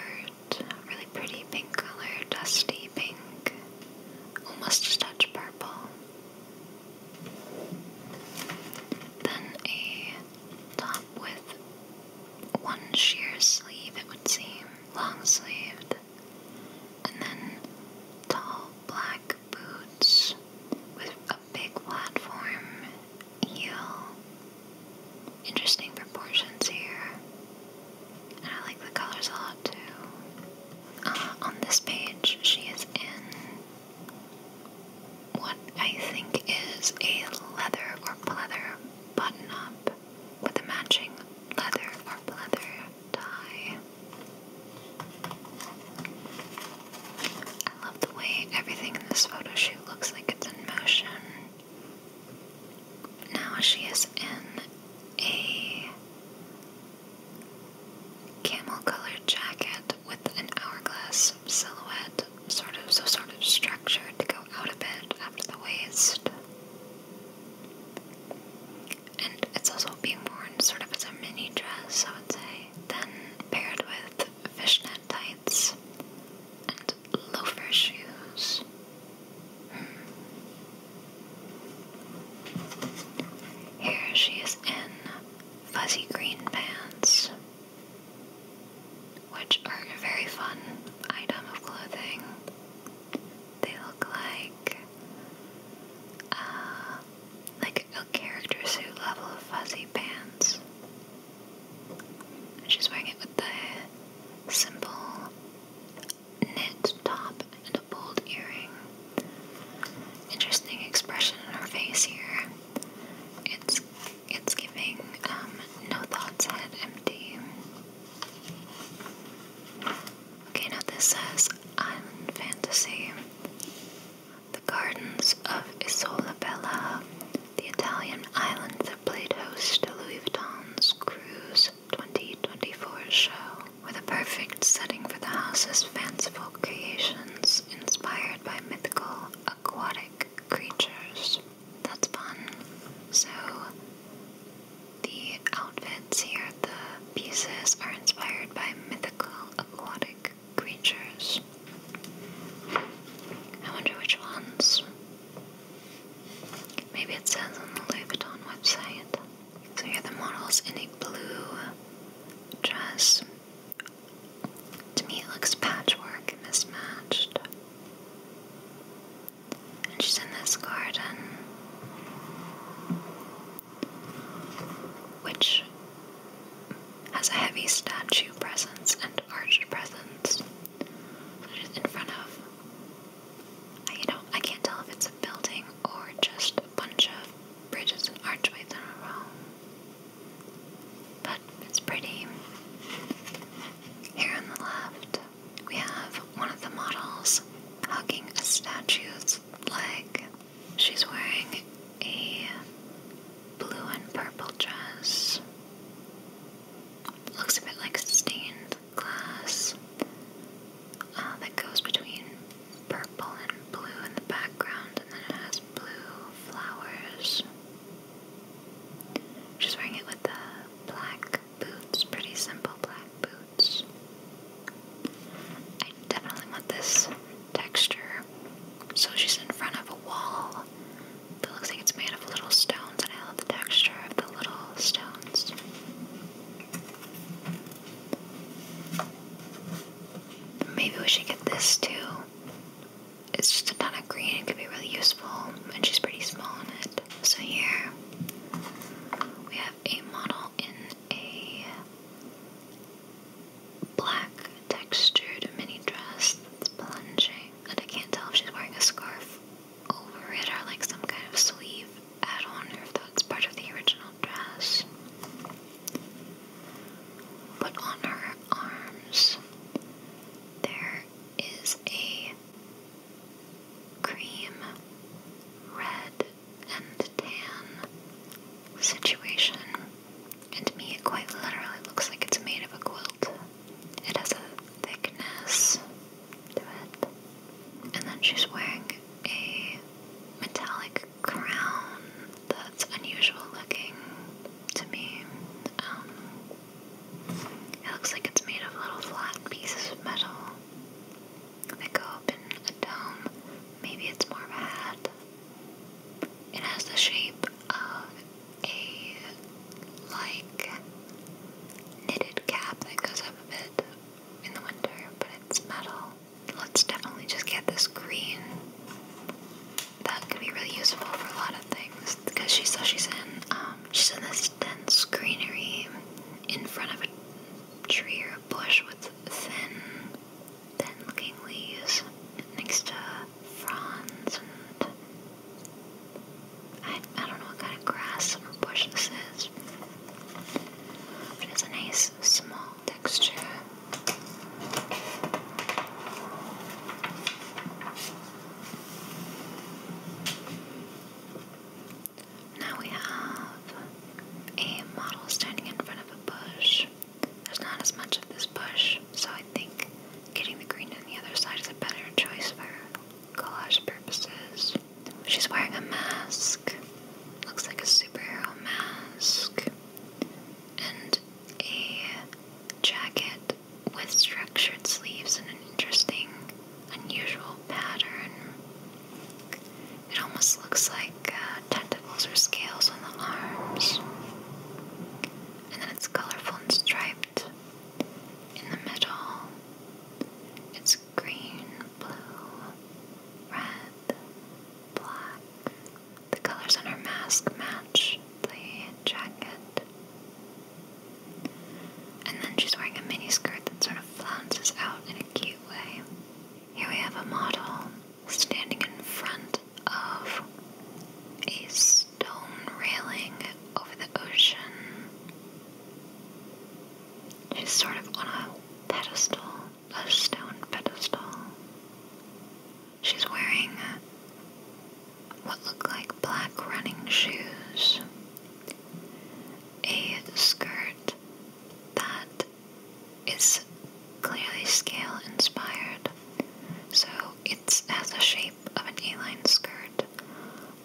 really pretty pink color, dusty pink, almost a touch purple. Then a top with one sheer sleeve, it would seem, long sleeved, and then tall black boots with a big platform heel. Interesting proportions here. And I like the colors a lot too. Uh, on this page, she is in what I think is a leather or pleather button up with a matching leather or pleather tie. I love the way everything in this photo shoot looks like it's in motion. Now she is in a camel colored jacket with an hourglass silhouette, sort of so sort of structured to go out a bit after the waist. And it's also being worn sort of as a mini dress, latte, then paired with fishnet tights and loafer shoes. Hmm. Here she is in fuzzy green pants, which are a very fun item of clothing. They look like uh, like a character suit level of fuzzy pants. She's wearing it with the simple knit top and a bold earring. Interesting expression on her face here. It's it's giving um, no thoughts head empty. Okay, now this says island fantasy the gardens of Isola Bella, the Italian island that played host to Louis Vuitton's Cruise 2024 show, were the perfect setting for the house's fanciful creations inspired by mythical aquatic creatures. That's fun. So, the outfits here, the pieces, are inspired by mythical aquatic creatures. I wonder which ones. Maybe it says on the Leviathan website. So here the model's in a blue dress. To me, it looks patchwork, mismatched. And she's in this garden which has a heavy statue presence and arched presence. in front of you know, I can't tell if it's a building or just a bunch of bridges and archways in a row. But it's pretty. Here on the left, we have one of the models hugging a statue's leg. She's wearing a blue and purple dress. Looks a bit like stained glass uh, that goes between purple and blue in the background, and then it has blue flowers. She's wearing it with the black boots, pretty simple black boots. I definitely want this texture. So she's in front of a wall that looks like it's made of little stones, and I love the texture of the little stones. Maybe we should get this too. It's just a ton of green, it could be really useful, and she's pretty small in it. So here we have a model in a black textured mini dress that's plunging. And I can't tell if she's wearing a scarf over it or like some kind of sleeve add on or if that's part of the original dress. But on her arms, there is a cream, red, and tan situation and to me, it quite literally looks like it's made of a quilt. It has a thickness to it. And then she's wearing a metallic crown that's unusual looking to me. Um, it looks like it's made of little flat pieces of metal. that go up in a dome. Maybe it's more of a hat. It has the shape of a like knitted cap that goes up a bit in the winter, but it's metal. Let's definitely just get this green. That could be really useful for a lot of things because she so she's in um, she's in this dense greenery in front of a tree or a bush with thin then looking leaves next to fronds and I, I don't know what kind of grass or bush this is. But it's a nice small texture. Now we have a model standing in front of a bush. There's not as much of this bush, so I think getting the green on the other side is a better choice for collage purposes. She's wearing a mask. Looks like a superhero mask. And a jacket with structured sleeves and an interesting, unusual pattern. It almost looks like uh, mandibles or scales on the arms. And then it's colorful and striped in the middle. It's green, blue, red, black. The colors on her mask match the jacket. And then she's wearing a mini skirt that sort of flounces out in a cute way. Here we have a model standing in front of a stone railing over the ocean. She's sort of on a pedestal, a stone pedestal. She's wearing what look like black running shoes, a skirt that is clearly scale inspired. So it has the shape of an A-line skirt,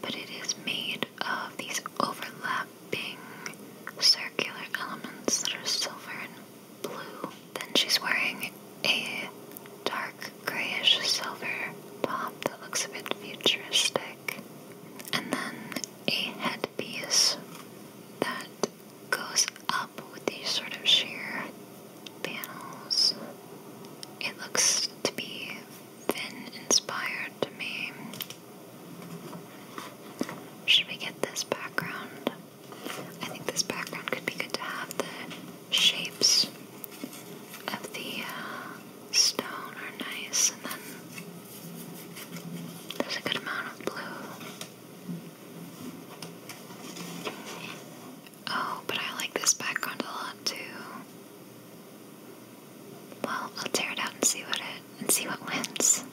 but it is made of these overlapping circular elements that are silver and blue. Then she's wearing a dark grayish silver top that looks a bit futuristic. And then a headpiece that goes up with these sort of sheer panels. It looks to be Finn inspired to me. Should we get this background? I think this background could be good to have the shapes of the uh, stone are nice, and then there's a good amount of blue. Oh, but I like this background a lot too. Well, I'll tear it out and see what it and see what wins.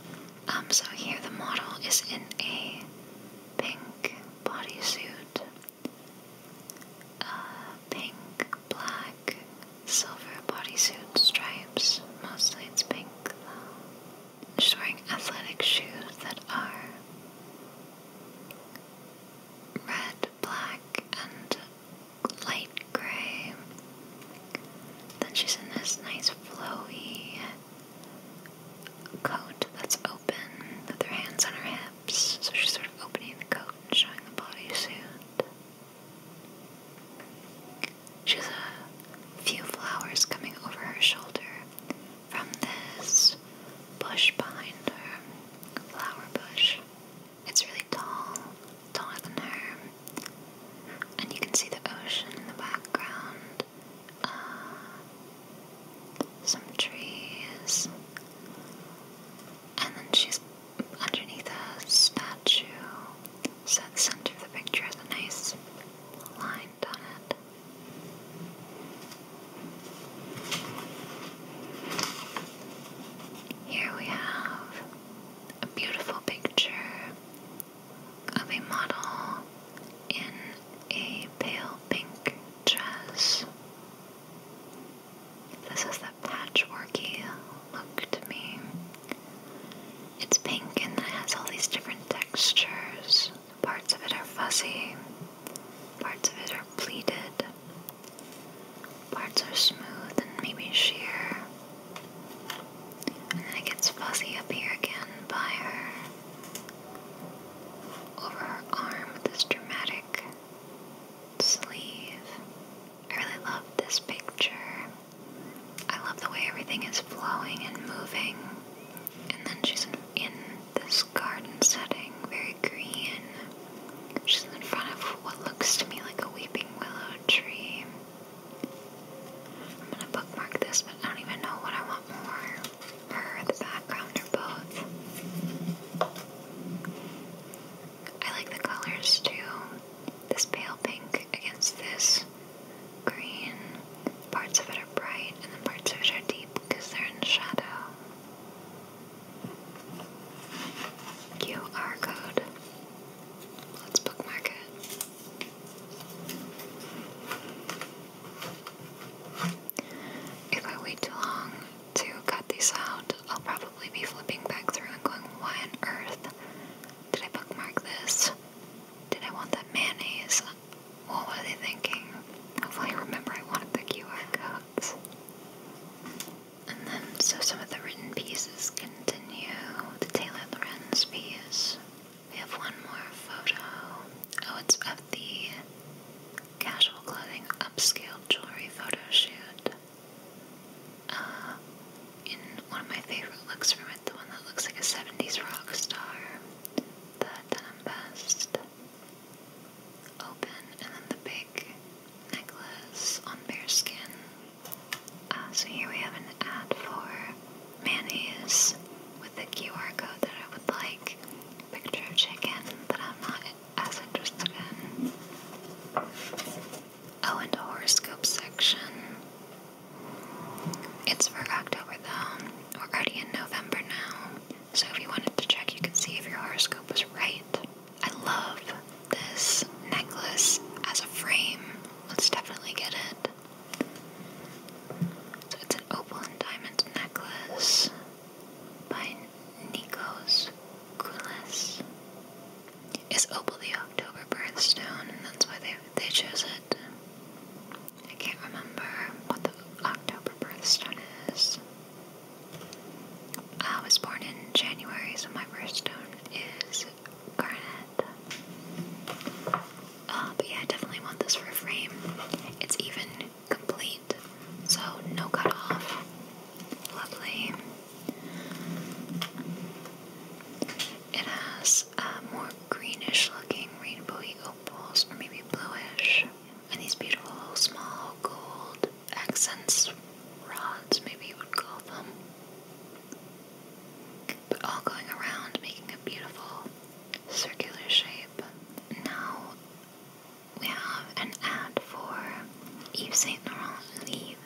Um, so here the model is in a pink bodysuit. Uh, pink, black, silver bodysuit stripes. Mostly it's pink She's wearing athletic shoes that are red, black, and light gray. Then she's in this nice flowy coat that's open with her hands on her hips. So she's sort of opening the coat and showing the bodysuit. She has a few flowers coming over her shoulder from this bush behind her, flower bush. It's really tall, taller than her. And you can see the ocean in the background, uh, some trees, and then she's underneath a statue. So, the center of the picture is a nice line here we have a beautiful picture of a model in a pale pink dress. This is the patchworky look to me. It's pink and it has all these different textures. Parts of it are fuzzy, parts of it are pleated, parts are smooth and maybe sheer. And then it gets fuzzy up here again by her. Over her arm this dramatic sleeve. I really love this picture. I love the way everything is flowing and moving. And then she's in, this garden setting, very green. She's in front of what looks to me like a weeping willow tree. I'm gonna bookmark this, but I don't even know what I want more. Her, the background, or both. I like the colors too. This pale pink against this green. Parts of it are bright and the parts of it are deep because they're in shadow. QR code. Let's bookmark it. If I wait too long to cut these out, I'll probably be flipping back through and going, why on earth did I bookmark this? Did I want that mayonnaise? What were they thinking? Hopefully remember I wanted the QR codes. And then, so some of the written pieces continue. The Taylor Lorenz piece. We have one more photo. Oh, it's of the casual clothing upscale jewelry photo shoot. Uh, in one of my favorite looks from it, the one that looks like a 70s rock star, the denim um, vest open, and then the big necklace on bear skin. Uh, so here we have an ad for mayonnaise with a QR code that I would like. Picture of chicken that I'm not as interested in. Oh, and a horoscope section. It's for October though. We're already in November now. So if you wanted to check, you could see if your horoscope was right. I love this necklace as a frame. Let's definitely get it. So it's an opal and diamond necklace by Nico's Coolness. Is opal the October birthstone, and that's why they they chose it? I can't remember what the October birthstone is. I was born in January, so my birthstone is garnet. Uh, but yeah, I definitely want this for a frame. It's even complete, so no cut off. Lovely. It has more greenish looking rainbowy opals, or maybe bluish and these beautiful little small gold accents rods, maybe you would call them. But all going around, making a beautiful circular shape. Now we have an ad for Yves Saint Laurent Live,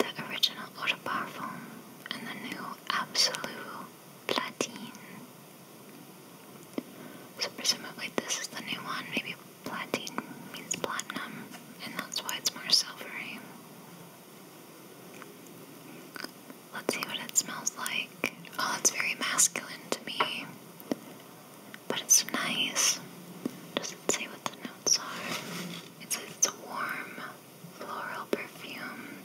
the original Eau de Parfum, and the new Absolue Platine. So presumably this is the new one. Maybe platinum means platinum, and that's why it's more silvery. Let's see what it smells like. Oh, it's very masculine to me. But it's nice. Does it say what the notes are? It says it's a warm floral perfume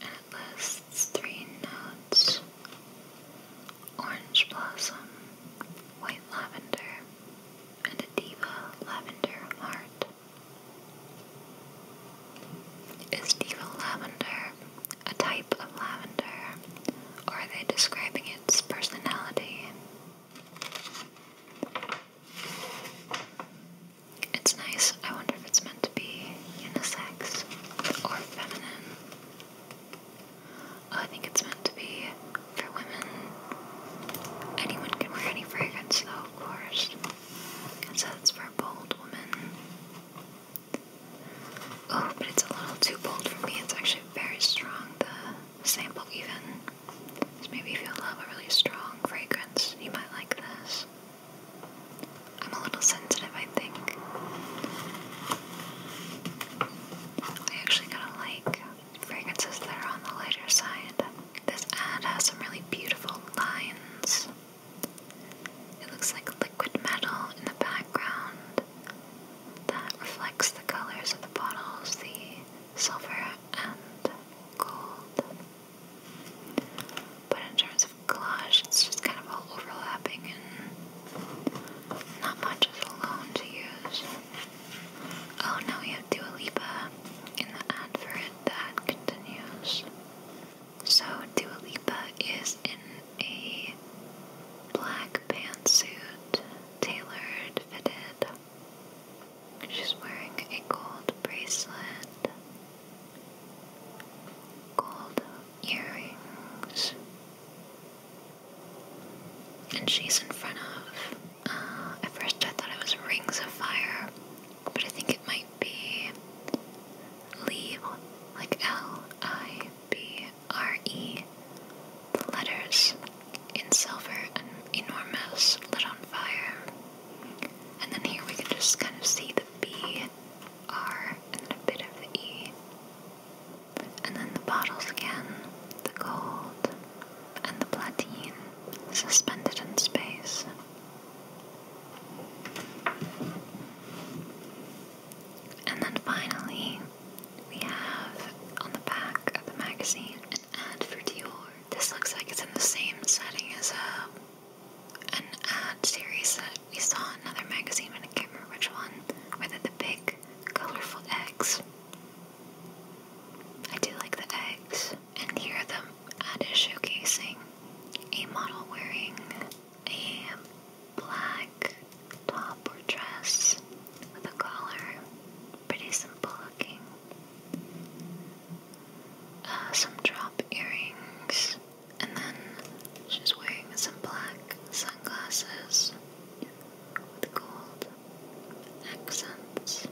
it lists three notes orange blossom, white lavender, and a diva lavender heart. Is diva lavender a type of lavender, or are they describing its personality? It's nice. I wonder if it's meant to be unisex or feminine. Oh, I think it's meant to be for women. Anyone can wear any fragrance, though, of course. It says it's for bold women. Oh, but it's a little too bold for me. It's actually very strong, the sample, even. So maybe if you love a really strong fragrance, you might like this. I'm a little sensitive, I think. I actually kind of like fragrances that are on the lighter side. This ad has some really beautiful lines. It looks like liquid metal in the background that reflects the colors of the bottles, the silver and gold. But in terms of collage. It's just kind of all overlapping and not much is alone to use. Oh, now we Dua Lipa in the ad that continues. So Dua Lipa is in a black pantsuit, tailored, fitted. She's wearing a gold bracelet, gold earrings, and she's in front of. at uh, first, I thought it was Rings of Fire, but I think it might be Lieb, like L I B R E. The letters in silver and enormous, lit on fire. And then here we can just kind of see the B, R, and a bit of E and then the bottles again, the gold, and the platine suspended in space. And then finally, we have on the back of the magazine an ad for Dior. This looks like it's in the same setting as a uh, an ad series that we saw another magazine, and I can't remember which one, with the big, colorful eggs. I do like the eggs. And here the ad is showcasing a model wearing a black top or dress with a collar. Pretty simple looking. Uh, some drop earrings. And then she's wearing some black sunglasses with gold accents.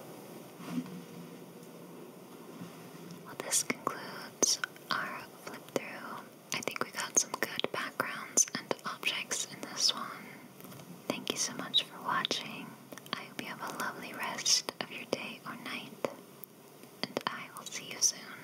Well, this concludes our flip through. I think we got some good backgrounds and objects in this one. Thank you so much for watching. I hope you have a lovely rest of your day or night, and I will see you soon.